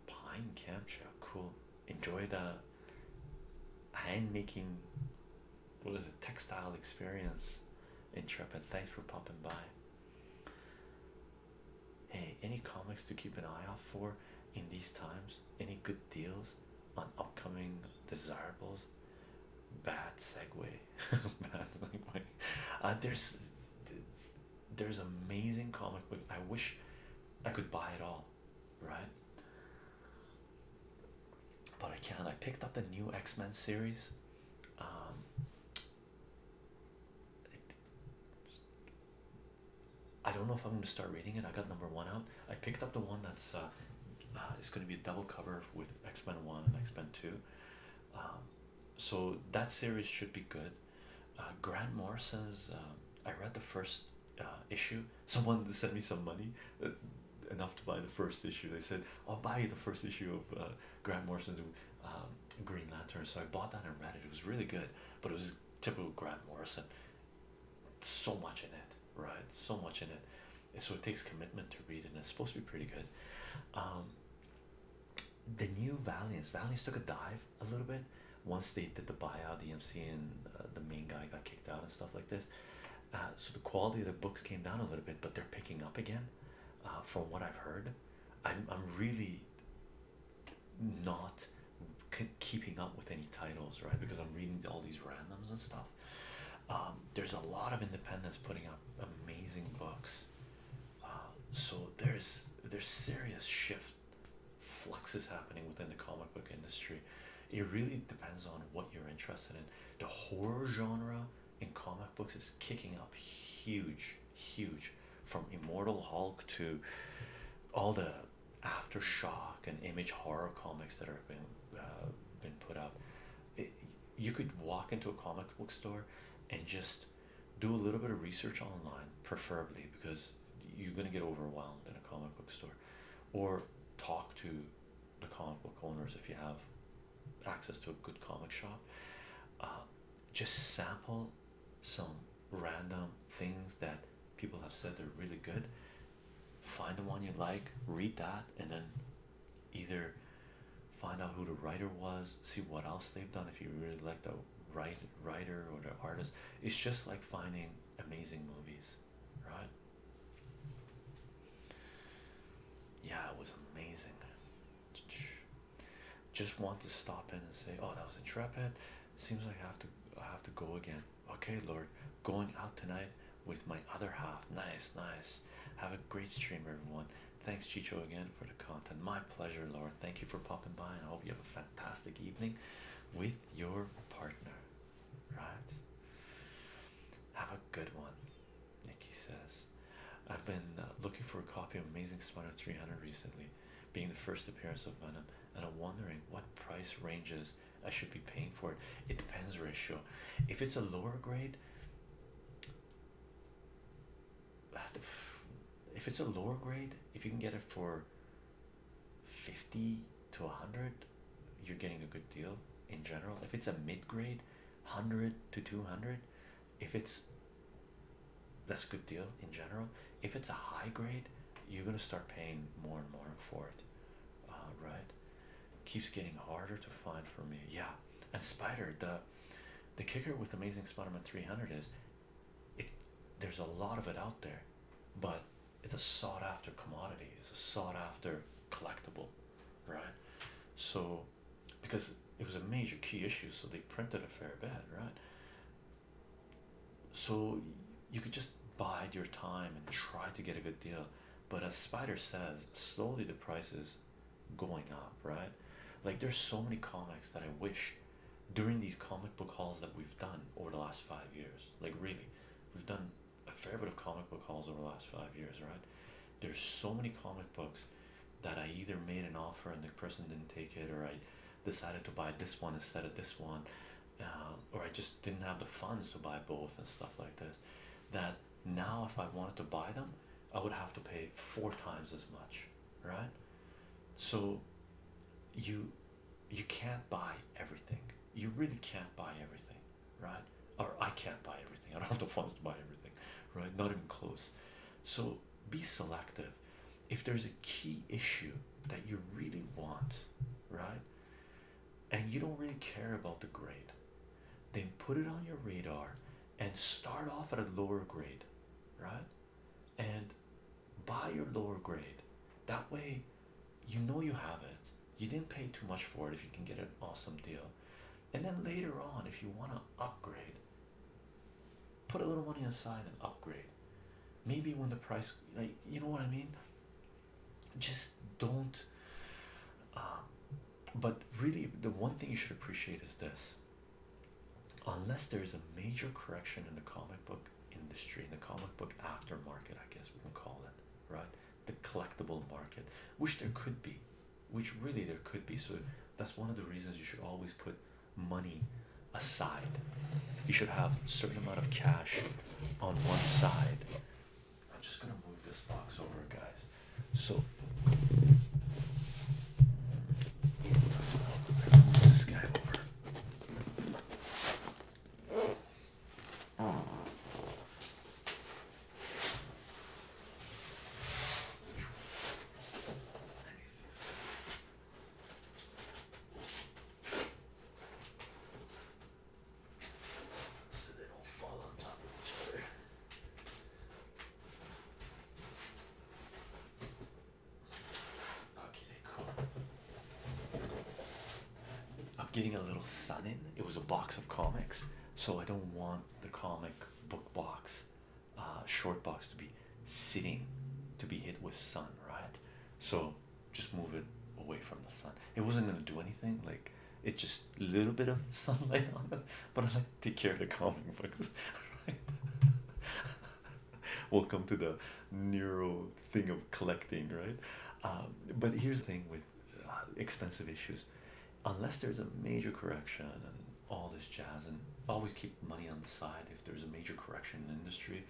pine camp chair. Cool. Enjoy the hand making. What is it? Textile experience. Intrepid. Thanks for popping by. Hey, any comics to keep an eye out for in these times? Any good deals on upcoming desirables? Bad segue. Bad segue. Uh, there's there's amazing comic book. I wish I could buy it all, right? But I can't. I picked up the new X Men series. Um, I don't know if I'm gonna start reading it. I got number one out. I picked up the one that's uh, uh, it's gonna be a double cover with X Men One and X Men Two. Um, so that series should be good. Uh, Grant Morrison's. I read the first issue. Someone sent me some money, enough to buy the first issue. They said, "I'll buy you the first issue of Grant Morrison's um, Green Lantern." So I bought that and read it. It was really good, but it was typical Grant Morrison. So much in it, right? So much in it. so it takes commitment to read, and it's supposed to be pretty good. Um, the new Valiants. Valiants took a dive a little bit once they did the buyout, the MC and uh, the main guy got kicked out and stuff like this. Uh, so the quality of the books came down a little bit, but they're picking up again. Uh, from what I've heard, I'm, I'm really not keeping up with any titles, right? Because I'm reading all these randoms and stuff. Um, there's a lot of independents putting up amazing books. Uh, so there's there's serious shift fluxes happening within the comic book industry. It really depends on what you're interested in. The horror genre in comic books is kicking up huge, huge from Immortal Hulk to all the aftershock and image horror comics that have been uh, been put out you could walk into a comic book store and just do a little bit of research online preferably because you're going to get overwhelmed in a comic book store or talk to the comic book owners if you have access to a good comic shop uh, just sample some random things that people have said they are really good. Find the one you like, read that, and then either find out who the writer was, see what else they've done if you really like the right writer or the artist. It's just like finding amazing movies, right? Yeah, it was amazing. Just want to stop in and say, Oh, that was intrepid. Seems like I have to I have to go again. Okay, Lord, going out tonight with my other half. Nice, nice. Have a great stream, everyone. Thanks, Chicho, again for the content. My pleasure, Lord. Thank you for popping by, and I hope you have a fantastic evening with your partner. Right? Have a good one, Nikki says. I've been uh, looking for a copy of Amazing Spider 300 recently being the first appearance of Venom, and I'm wondering what price ranges I should be paying for it. It depends, ratio. If it's a lower grade, if it's a lower grade, if you can get it for 50 to 100, you're getting a good deal in general. If it's a mid grade, 100 to 200, if it's that's a good deal in general. If it's a high grade, you're gonna start paying more and more for it. Uh, right? Keeps getting harder to find for me. Yeah. And Spider, the the kicker with Amazing Spider-Man 300 is, it there's a lot of it out there, but it's a sought after commodity. It's a sought after collectible, right? So, because it was a major key issue, so they printed a fair bit, right? so you could just bide your time and try to get a good deal but as spider says slowly the price is going up right like there's so many comics that i wish during these comic book hauls that we've done over the last five years like really we've done a fair bit of comic book hauls over the last five years right there's so many comic books that i either made an offer and the person didn't take it or i decided to buy this one instead of this one um, or I just didn't have the funds to buy both and stuff like this that now if I wanted to buy them I would have to pay four times as much right so you you can't buy everything you really can't buy everything right or I can't buy everything I don't have the funds to buy everything right not even close so be selective if there's a key issue that you really want, right? And you don't really care about the grade, then put it on your radar and start off at a lower grade, right? And buy your lower grade. That way, you know you have it. You didn't pay too much for it if you can get an awesome deal. And then later on, if you want to upgrade, put a little money aside and upgrade maybe when the price like you know what i mean just don't uh, but really the one thing you should appreciate is this unless there is a major correction in the comic book industry in the comic book aftermarket i guess we can call it right the collectible market which there could be which really there could be so that's one of the reasons you should always put money aside. You should have a certain amount of cash on one side. I'm just gonna move this box over, guys. So move this guy over. Oh so they don't fall on top of each other. Okay, cool. I'm getting a little sun in. It was a box of comics, so I don't want the comic book box, uh, short box to be sitting to be hit with sun, right? So just move it away from the sun. It wasn't gonna do anything. Like it just a little bit of sunlight on it. But I like take care of the comic books. Right? Welcome to the neuro thing of collecting, right? Um, but here's the thing with uh, expensive issues. Unless there's a major correction and all this jazz, and always keep money on the side if there's a major correction in the industry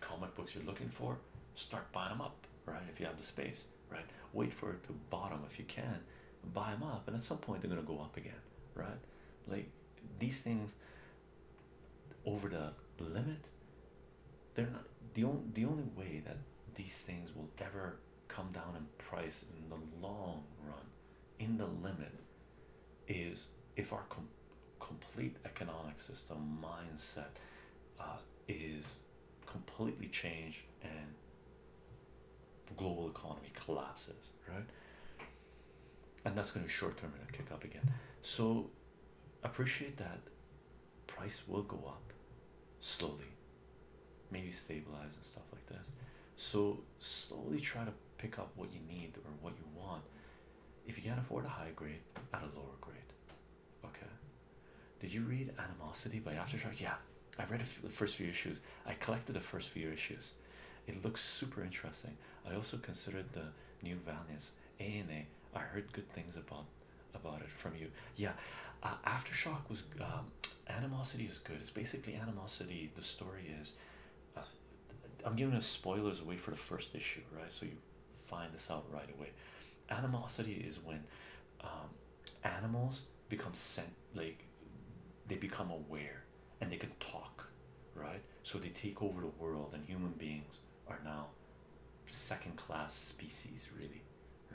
comic books you're looking for start buying them up right if you have the space right wait for it to bottom if you can buy them up and at some point they're going to go up again right like these things over the limit they're not the only the only way that these things will ever come down in price in the long run in the limit is if our com complete economic system mindset uh, is completely changed and the global economy collapses, right? And that's going to short term and kick up again. So appreciate that price will go up slowly, maybe stabilize and stuff like this. So slowly try to pick up what you need or what you want if you can't afford a high grade, at a lower grade. Okay. Did you read Animosity by Aftershock? Yeah, I read the first few issues. I collected the first few issues. It looks super interesting. I also considered the New Valiance A and A. I heard good things about about it from you. Yeah, uh, Aftershock was um, Animosity is good. It's basically Animosity. The story is. Uh, I'm giving us spoilers away for the first issue, right? So you find this out right away. Animosity is when um, animals become sent like they become aware and they can talk, right? So they take over the world, and human beings are now second class species, really,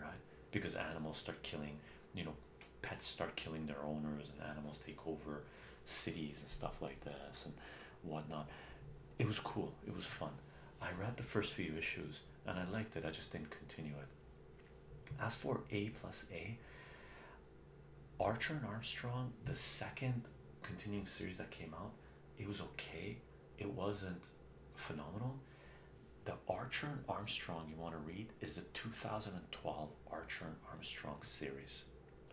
right? Because animals start killing, you know, pets start killing their owners, and animals take over cities and stuff like this. And whatnot. It was cool, it was fun. I read the first few issues and I liked it, I just didn't continue it. As for A plus A, Archer and Armstrong, the second continuing series that came out, it was okay, it wasn't phenomenal. The Archer and Armstrong you want to read is the 2012 Archer and Armstrong series.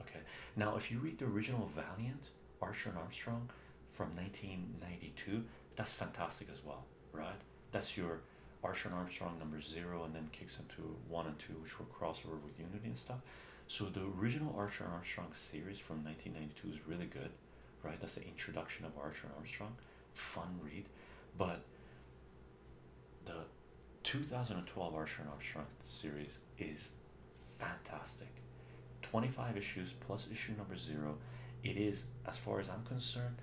Okay, now if you read the original Valiant, Archer and Armstrong from 1992, that's fantastic as well, right? That's your Archer and Armstrong number zero, and then kicks into one and two, which were crossover with Unity and stuff. So the original Archer and Armstrong series from 1992 is really good, right? That's the introduction of Archer and Armstrong, fun read, but the 2012 Archer and Armstrong series is fantastic 25 issues plus issue number zero it is as far as i'm concerned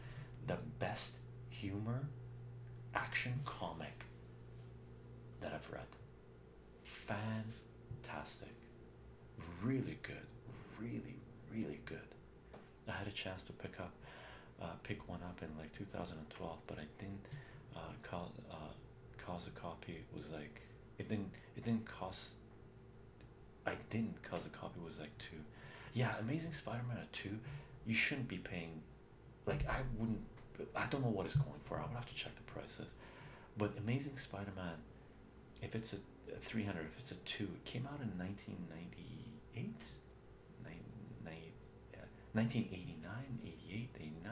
the best humor action comic that i've read fantastic really good really really good i had a chance to pick up uh, pick one up in like 2012 but i didn't uh, call uh, cause a copy was like it didn't. It didn't cost. I didn't cause a copy was like two. Yeah, Amazing Spider-Man at two. You shouldn't be paying. Like I wouldn't. I don't know what it's going for. I would have to check the prices. But Amazing Spider-Man, if it's a, a three hundred, if it's a two, it came out in nineteen ninety-eight. 1989, 88, 89.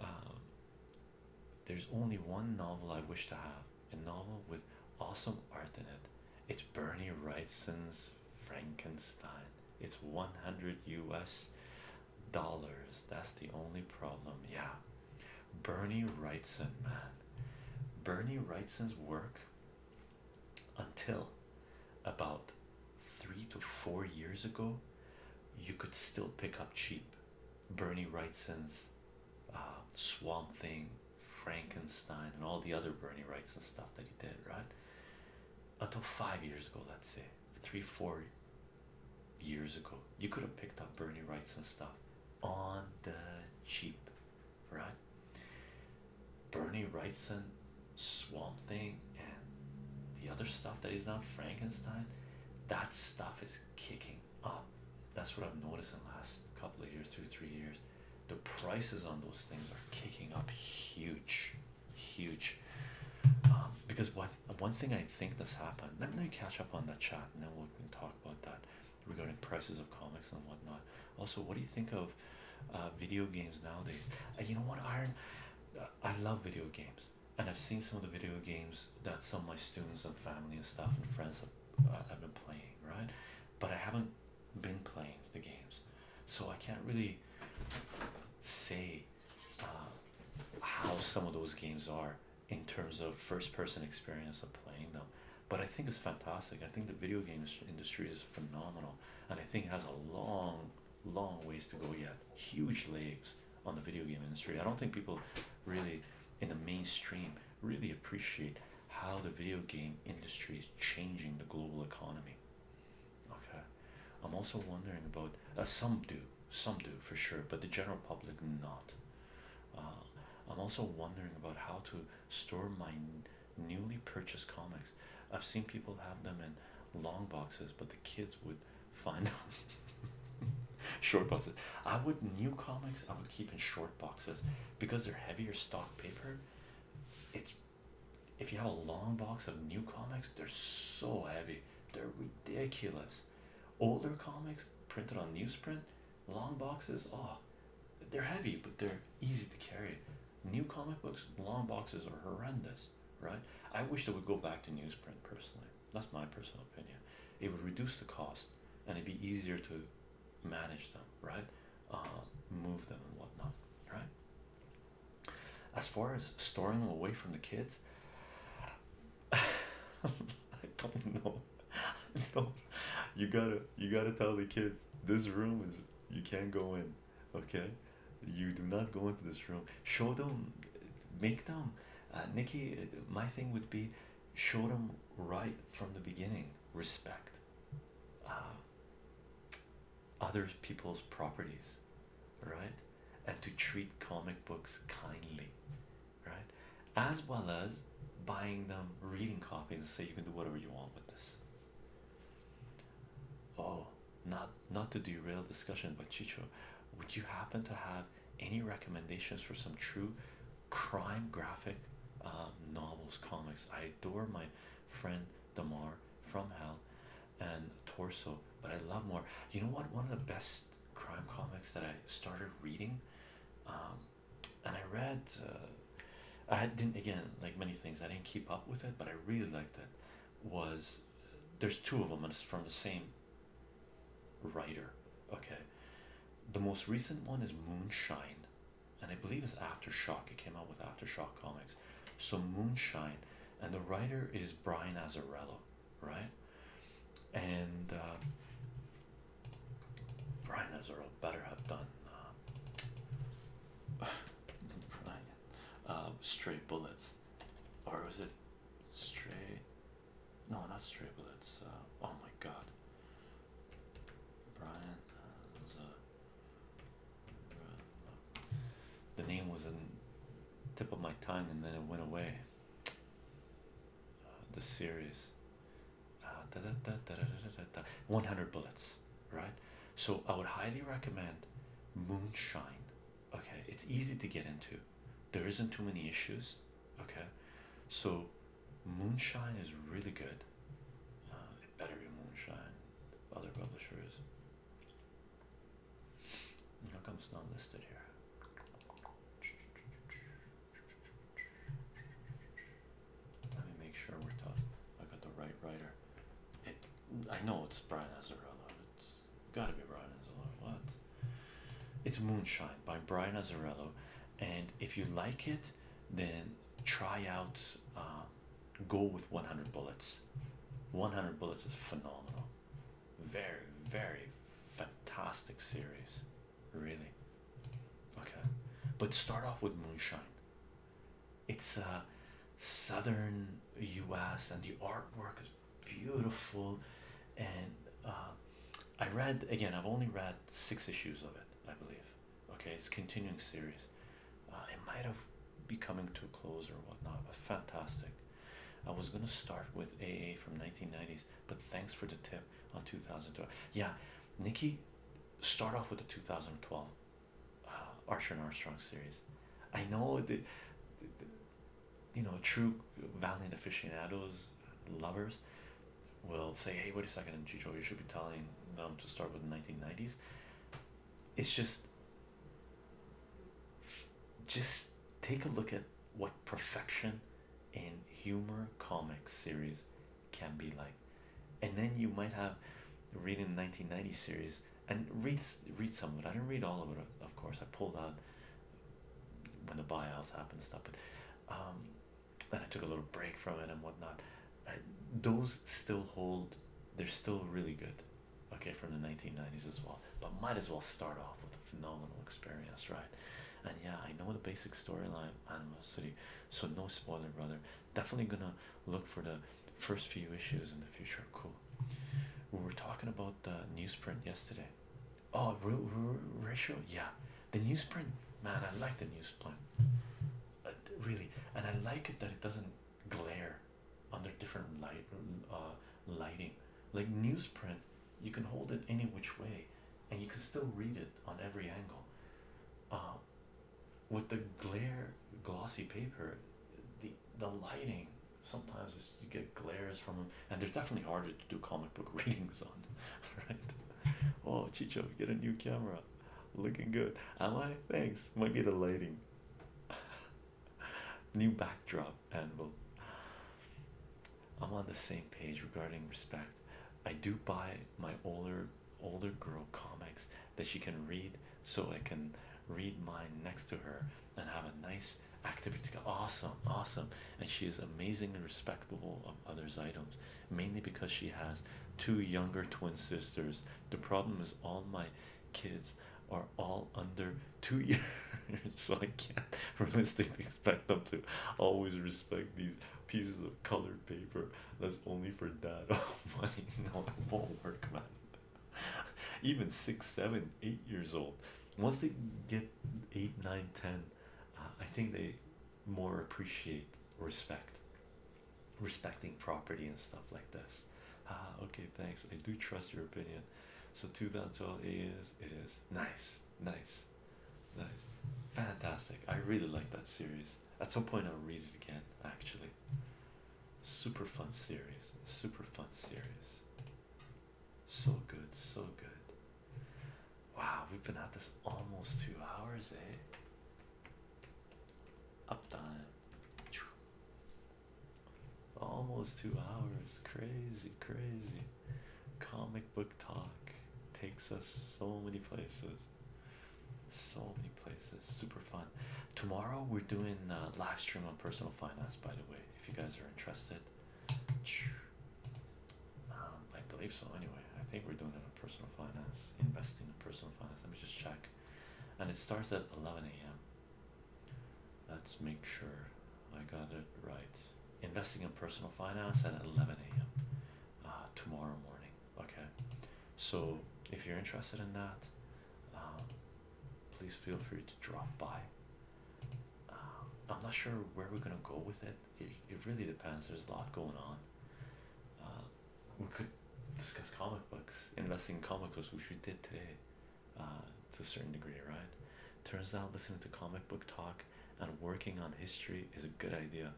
Um, there's only one novel I wish to have a novel with awesome art in it. It's Bernie Wrightson's Frankenstein. It's 100 US dollars. That's the only problem. Yeah. Bernie Wrightson, man. Bernie Wrightson's work until about three to four years ago, you could still pick up cheap Bernie Wrightson's uh, Swamp Thing, Frankenstein, and all the other Bernie Wrightson stuff that he did, right? Until five years ago, let's say three, four years ago, you could have picked up Bernie Wrightson stuff on the cheap, right? Bernie Wrightson, Swamp Thing, and the other stuff that is not Frankenstein, that stuff is kicking up. That's what I've noticed in the last couple of years, two, three years. The prices on those things are kicking up huge, huge. Um, because what one thing I think that's happened, let me catch up on that chat and then we can talk about that regarding prices of comics and whatnot. Also, what do you think of uh, video games nowadays? Uh, you know what, Iron? I love video games, and I've seen some of the video games that some of my students and family and stuff and friends uh, have, been playing, right? But I haven't been playing the games, so I can't really say uh, how some of those games are in terms of first-person experience of playing them. But I think it's fantastic. I think the video games industry is phenomenal, and I think it has a long long ways to go yet. Huge legs on the video game industry. I don't think people really in the mainstream really appreciate how the video game industry is changing the global economy. Okay, I'm also wondering about uh, some do, some do for sure, but the general public not. Uh, I'm also wondering about how to store my newly purchased comics. I've seen people have them and long boxes, but the kids would find them short boxes. I would new comics I would keep in short boxes because they're heavier stock paper. It's if you have a long box of new comics, they're so heavy, they're ridiculous. Older comics printed on newsprint, long boxes, oh, they're heavy, but they're easy to carry. New comic books, long boxes are horrendous right? I wish they would go back to newsprint personally. That's my personal opinion. It would reduce the cost and it'd be easier to manage them, right? Um, move them and whatnot, right? As far as storing them away from the kids, I don't know. don't. You gotta, you gotta tell the kids this room is you can't go in. Okay, you do not go into this room. Show them, make them. Uh, Nikki, my thing would be show them right from the beginning. Respect uh, other people's properties, right? And to treat comic books kindly, right? As well as buying them, reading copies, and say you can do whatever you want with this. Oh, not not to derail discussion, but Chicho, would you happen to have any recommendations for some true crime graphic um, novels, comics? I adore my friend Damar from Hell and Torso, but I love more. You know what? One of the best crime comics that I started reading, um, and I read. Uh, I didn't again like many things. I didn't keep up with it, but I really liked it. Was there's two of them and it's from the same writer okay the most recent one is moonshine and i believe it's aftershock it came out with aftershock comics so moonshine and the writer is brian azarello right and uh, brian azarello better have done uh, uh straight bullets or was it straight? No, not straight bullets. Uh, oh my God, Brian. the name was in tip of my tongue, and then it went away. Uh, the series. Uh, da, da, da, da, da, da, da, da. 100 bullets, right? So I would highly recommend Moonshine okay it's easy to get into there isn't too many issues okay so moonshine is really good uh, better moonshine other publishers how come it's not listed here let me make sure we're tough I got the right writer it I know it's Brian Azarello it's Gotta be Brian Azzarello. It's Moonshine by Brian Azzarello. And if you like it, then try out um, Go with 100 Bullets. 100 Bullets is phenomenal. Very, very fantastic series. Really. Okay. But start off with Moonshine it's a uh, southern US and the artwork is beautiful and uh, I read again I've only read six issues of it I believe okay it's continuing series uh, it might have be coming to a close or whatnot but fantastic I was gonna start with AA from 1990s but thanks for the tip on 2012 yeah Nikki start off with the 2012 uh, Archer and Armstrong series. I know the, you know true valiant aficionados lovers will say, hey, wait a second, Chicho, you should be telling them to start with the 1990s. It's just just take a look at what perfection in humor comics series can be like and then you might have reading the 1990 series and read read some of it. I didn't read all of it, of course. I pulled out when the buyouts happened stuff, but um, then I took a little break from it and whatnot. Uh, those still hold. They're still really good. Okay, from the 1990s as well. But might as well start off with a phenomenal experience, right? And yeah, I know the basic storyline, Animal City. So no spoiler, brother. Definitely gonna look for the first few issues in the future. Cool we were talking about the newsprint yesterday. Oh, ratio, yeah. The newsprint, man, I like the newsprint, uh, really, and I like it that it doesn't glare under different light uh, lighting. Like newsprint, you can hold it any which way, and you can still read it on every angle. Uh, with the glare glossy paper, the the lighting sometimes it's, you get glares from them and they're definitely harder to do comic book readings on right oh chicho get a new camera looking good am i thanks might be the lighting new backdrop anvil i'm on the same page regarding respect i do buy my older older girl comics that she can read so i can read mine next to her and have a nice activity. Awesome, awesome. And she is amazingly respectful of others' items, mainly because she has two younger twin sisters. The problem is all my kids are all under two years, so I can't realistically expect them to always respect these pieces of colored paper that's only for dad. Oh, money, no, it won't work, man. even six, seven, eight years old. Once they get eight, nine, ten, uh, I think they more appreciate respect, respecting property and stuff like this. Ah, okay, thanks. I do trust your opinion. So 2012 is it is nice, nice, nice, fantastic. I really like that series. At some point, I'll read it again. Actually, Super fun series, super fun series. So good, so good. Wow, we've been at this almost two hours, eh? Uptime. Almost two hours. Crazy, crazy. Comic book talk takes us so many places. So many places. Super fun. Tomorrow we're doing a live stream on personal finance, by the way, if you guys are interested. Um, I believe so anyway. I think we're doing it on personal finance, investing in personal finance. Let me just check. And it starts at 11 a.m. Let's make sure I got it right. Investing in personal finance at 11 a.m. Uh, tomorrow morning. Okay. So if you're interested in that, um, please feel free to drop by. Um, I'm not sure where we're gonna go with it. It, it really depends. There's a lot going on. Uh, we could discuss comic books, investing in comic books, which we did today, uh, to a certain degree, right? Turns out listening to comic book talk and working on history is a good idea.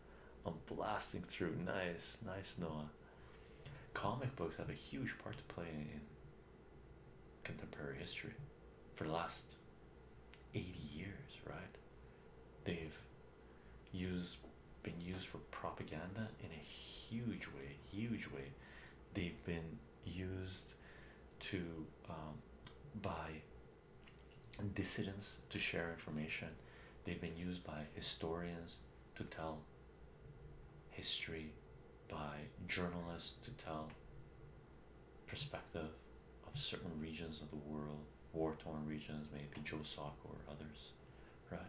I'm blasting through. Nice, nice, Noah. Comic books have a huge part to play in contemporary history for the last 80 years, right? They've used been used for propaganda in a huge way, huge way. They've been used to um, by dissidents to share information. They've been used by historians to tell history by journalists to tell perspective of certain regions of the world, war-torn regions, maybe Joe or others, right?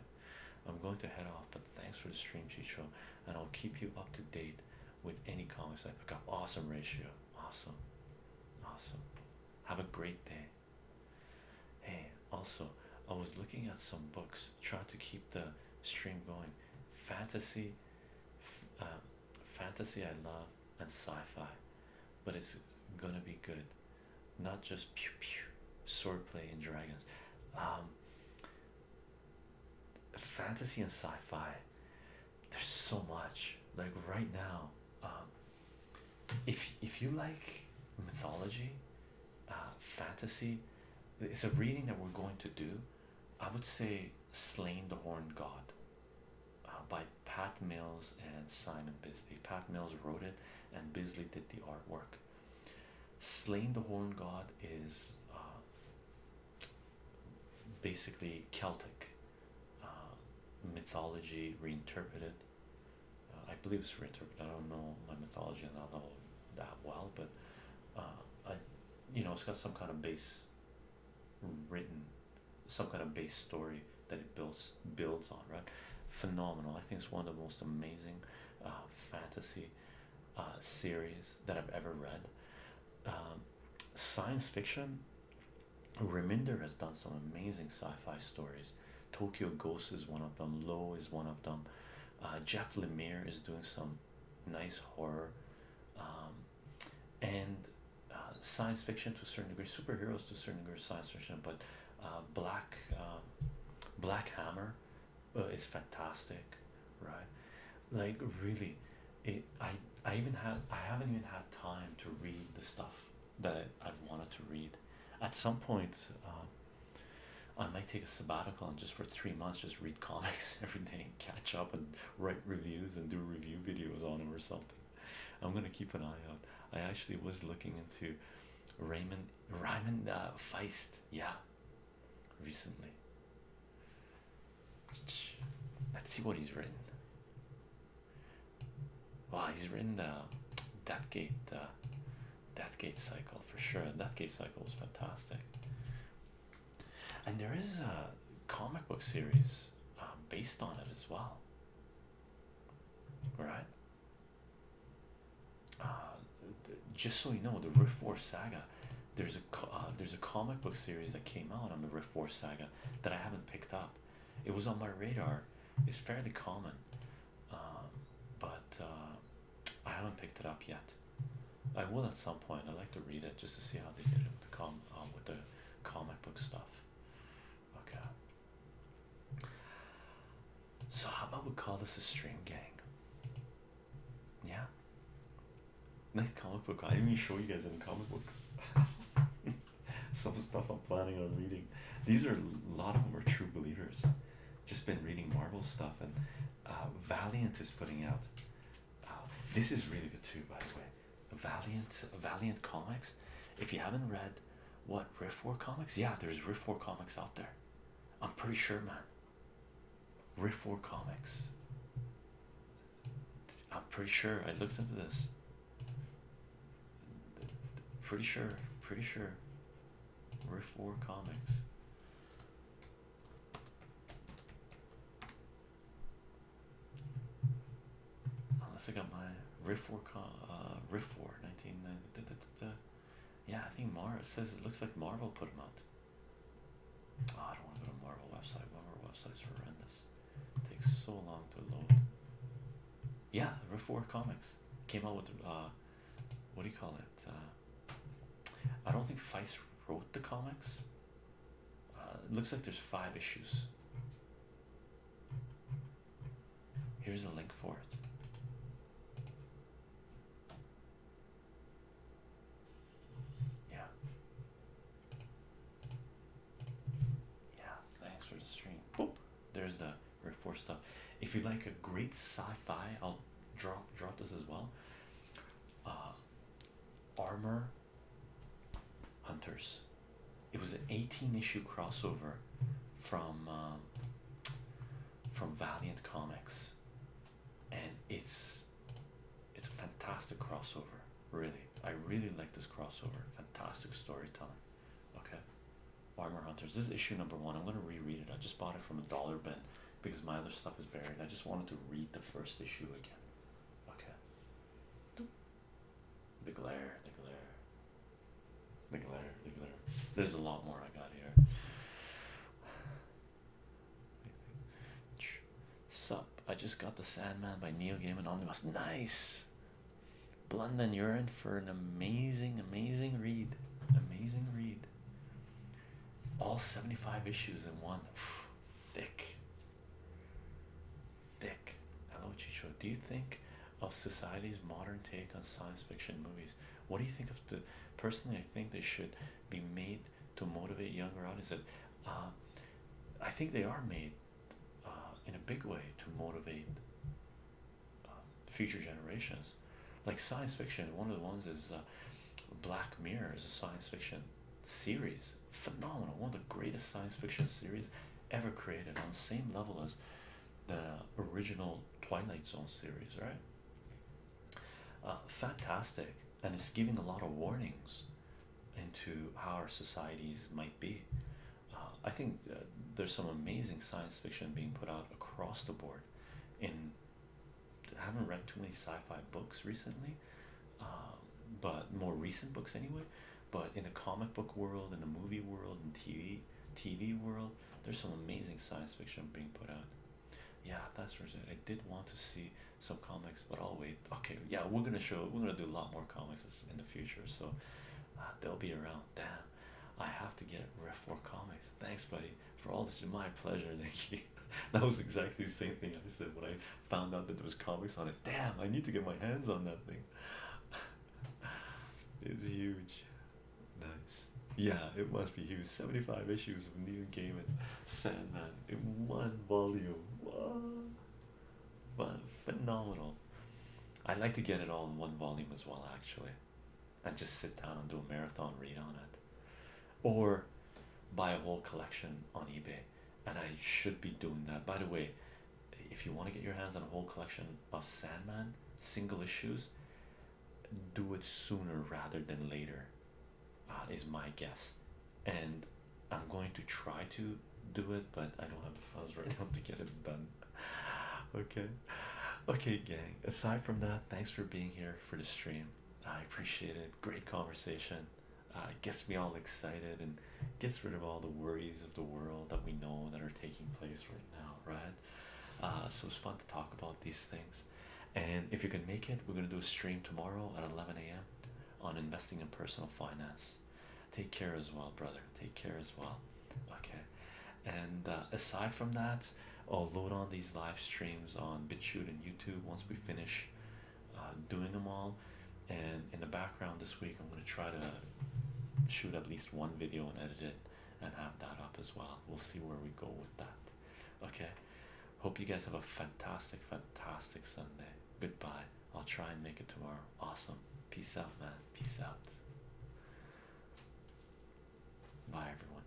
I'm going to head off, but thanks for the stream, Chicho, and I'll keep you up to date with any comics I pick up. Awesome ratio, awesome, awesome. Have a great day. Hey, also, I was looking at some books, trying to keep the stream going fantasy um, fantasy I love and sci-fi but it's gonna be good not just pew pew swordplay and dragons um, fantasy and sci-fi there's so much like right now um, if if you like mythology uh, fantasy it's a reading that we're going to do I would say Slain the Horned God uh, by Pat Mills and Simon Bisley. Pat Mills wrote it and Bisley did the artwork. Slain the Horned God is uh, basically Celtic uh, mythology reinterpreted. I believe it's reinterpreted. I don't know my mythology on that level that well, but I you know it's got some kind of base written some kind of base story that it builds builds on right phenomenal i think it's one of the most amazing uh, fantasy uh, series that i've ever read um, science fiction reminder has done some amazing sci-fi stories tokyo ghost is one of them low is one of them uh, jeff lemire is doing some nice horror, um, and uh, science fiction to a certain degree, superheroes to a certain degree, science fiction. But uh, Black um, Black Hammer uh, is fantastic, right? Like really, it. I I even had I haven't even had time to read the stuff that I, have wanted to read. At some point, uh, I might take a sabbatical and just for three months just read comics every day and catch up and write reviews and do review videos on them or something. I'm gonna keep an eye out. I actually was looking into Raymond Raymond uh, Feist, yeah, recently. Let's see what he's written. Wow, he's written the uh, Deathgate, uh, Deathgate cycle for sure. Deathgate cycle was fantastic. And there is a comic book series um, based on it as well. Right? Uh, just so you know, the Rift War Saga. There's a uh, there's a comic book series that came out on the Rift Force Saga that I haven't picked up. It was on my radar. It's fairly common, um, but uh, I haven't picked it up yet. I will at some point. i like to read it just to see how they did it with the com um, with the comic book stuff. Okay. So how about we call this a stream gang? Yeah. Nice comic book. I didn't even show you guys any comic books. some stuff I'm planning on reading. These are a lot of them are true believers. Just been reading Marvel stuff and uh, Valiant is putting out Wow, this is really good too, by the way. Valiant, Valiant Comics. If you haven't read what Riff War Comics, yeah, there's Riff War Comics out there. I'm pretty sure, man. Riff War Comics. I'm pretty sure I looked into this. Pretty sure, pretty sure. Riff War Comics. Unless I got my Riff War, uh, Riff War 1990. Yeah, I think Marvel says it looks like Marvel put them out. Oh, I don't want to go to Marvel website. Marvel website's horrendous. takes so long to load. Yeah, Riff War Comics came out with uh, what do you call it? Uh, I don't think Feist wrote the comics. Uh, it looks like there's five issues. Here's a link for it. Yeah. Yeah, thanks for the stream. Boop. There's the report stuff. If you like a great sci-fi, I'll drop drop this as well. Uh, Armor Hunters. It was an 18 issue crossover from um, from Valiant Comics, and it's it's a fantastic crossover. Really, I really like this crossover. Fantastic storytelling. Okay, Armor Hunters. This is issue number one. I'm gonna reread it. I just bought it from a dollar bin because my other stuff is buried. I just wanted to read the first issue again. Okay. The glare, the glare, the glare, the glare. There's a lot more I got here. Sup, I just got The Sandman by Neil Gaiman Omnibus. Nice! Blood and urine for an amazing, amazing read. Amazing read. All 75 issues in one. Thick. Thick. Hello, Chicho. Do you think of society's modern take on science fiction movies? What do you think of the. Personally, I think they should be made to motivate younger audiences. Uh, I think they are made uh, in a big way to motivate uh, future generations. Like science fiction, one of the ones is Black Mirror is science fiction series phenomenal one of the greatest science fiction series ever created on the same level as the original twilight zone series right uh, fantastic and it's giving a lot of warnings into how our societies might be uh, i think uh, there's some amazing science fiction being put out across the board in I haven't read too many sci-fi books recently, um, but more recent books anyway. But in the comic book world, in the movie world, in TV TV world, there's some amazing science fiction being put out. Yeah, that's for sure. I did want to see some comics, but I'll wait. Okay, yeah, we're gonna show. We're gonna do a lot more comics in the future, so uh, they'll be around. Damn, I have to get Ref War comics. Thanks, buddy for all this is my pleasure. Thank you. that was exactly the same thing I said when I found out that there was comics on it. Damn, I need to get my hands on that thing. it's huge. Nice. Yeah, it must be huge. 75 issues of New Neil Gaiman Sandman in one volume. Wow. Phenomenal. I'd like to get it all in one volume as well, actually. And just sit down and do a marathon read on it or buy a whole collection on eBay. And I should be doing that. By the way, if you want to get your hands on a whole collection of Sandman single issues, do it sooner rather than later, uh, is my guess. And I'm going to try to do it, but I don't have the funds right now to get it done. Okay, okay, gang. Aside from that, thanks for being here for the stream. I appreciate it great conversation. Uh, gets me all excited and gets rid of all the worries of the world that we know that are taking place right now, right? Uh, so it's fun to talk about these things. And if you can make it, we're going to do a stream tomorrow at 11 a.m. on investing in personal finance. Take care as well, brother. Take care as well. Okay. And uh, aside from that, I'll load on these live streams on BitChute and YouTube once we finish uh, doing them all. And in the background this week, I'm going to try to shoot at least one video and edit it and have that up as well. We'll see where we go with that. Okay. Hope you guys have a fantastic, fantastic Sunday. Goodbye. I'll try and make it tomorrow. Awesome. Peace out, man. Peace out. Bye, everyone.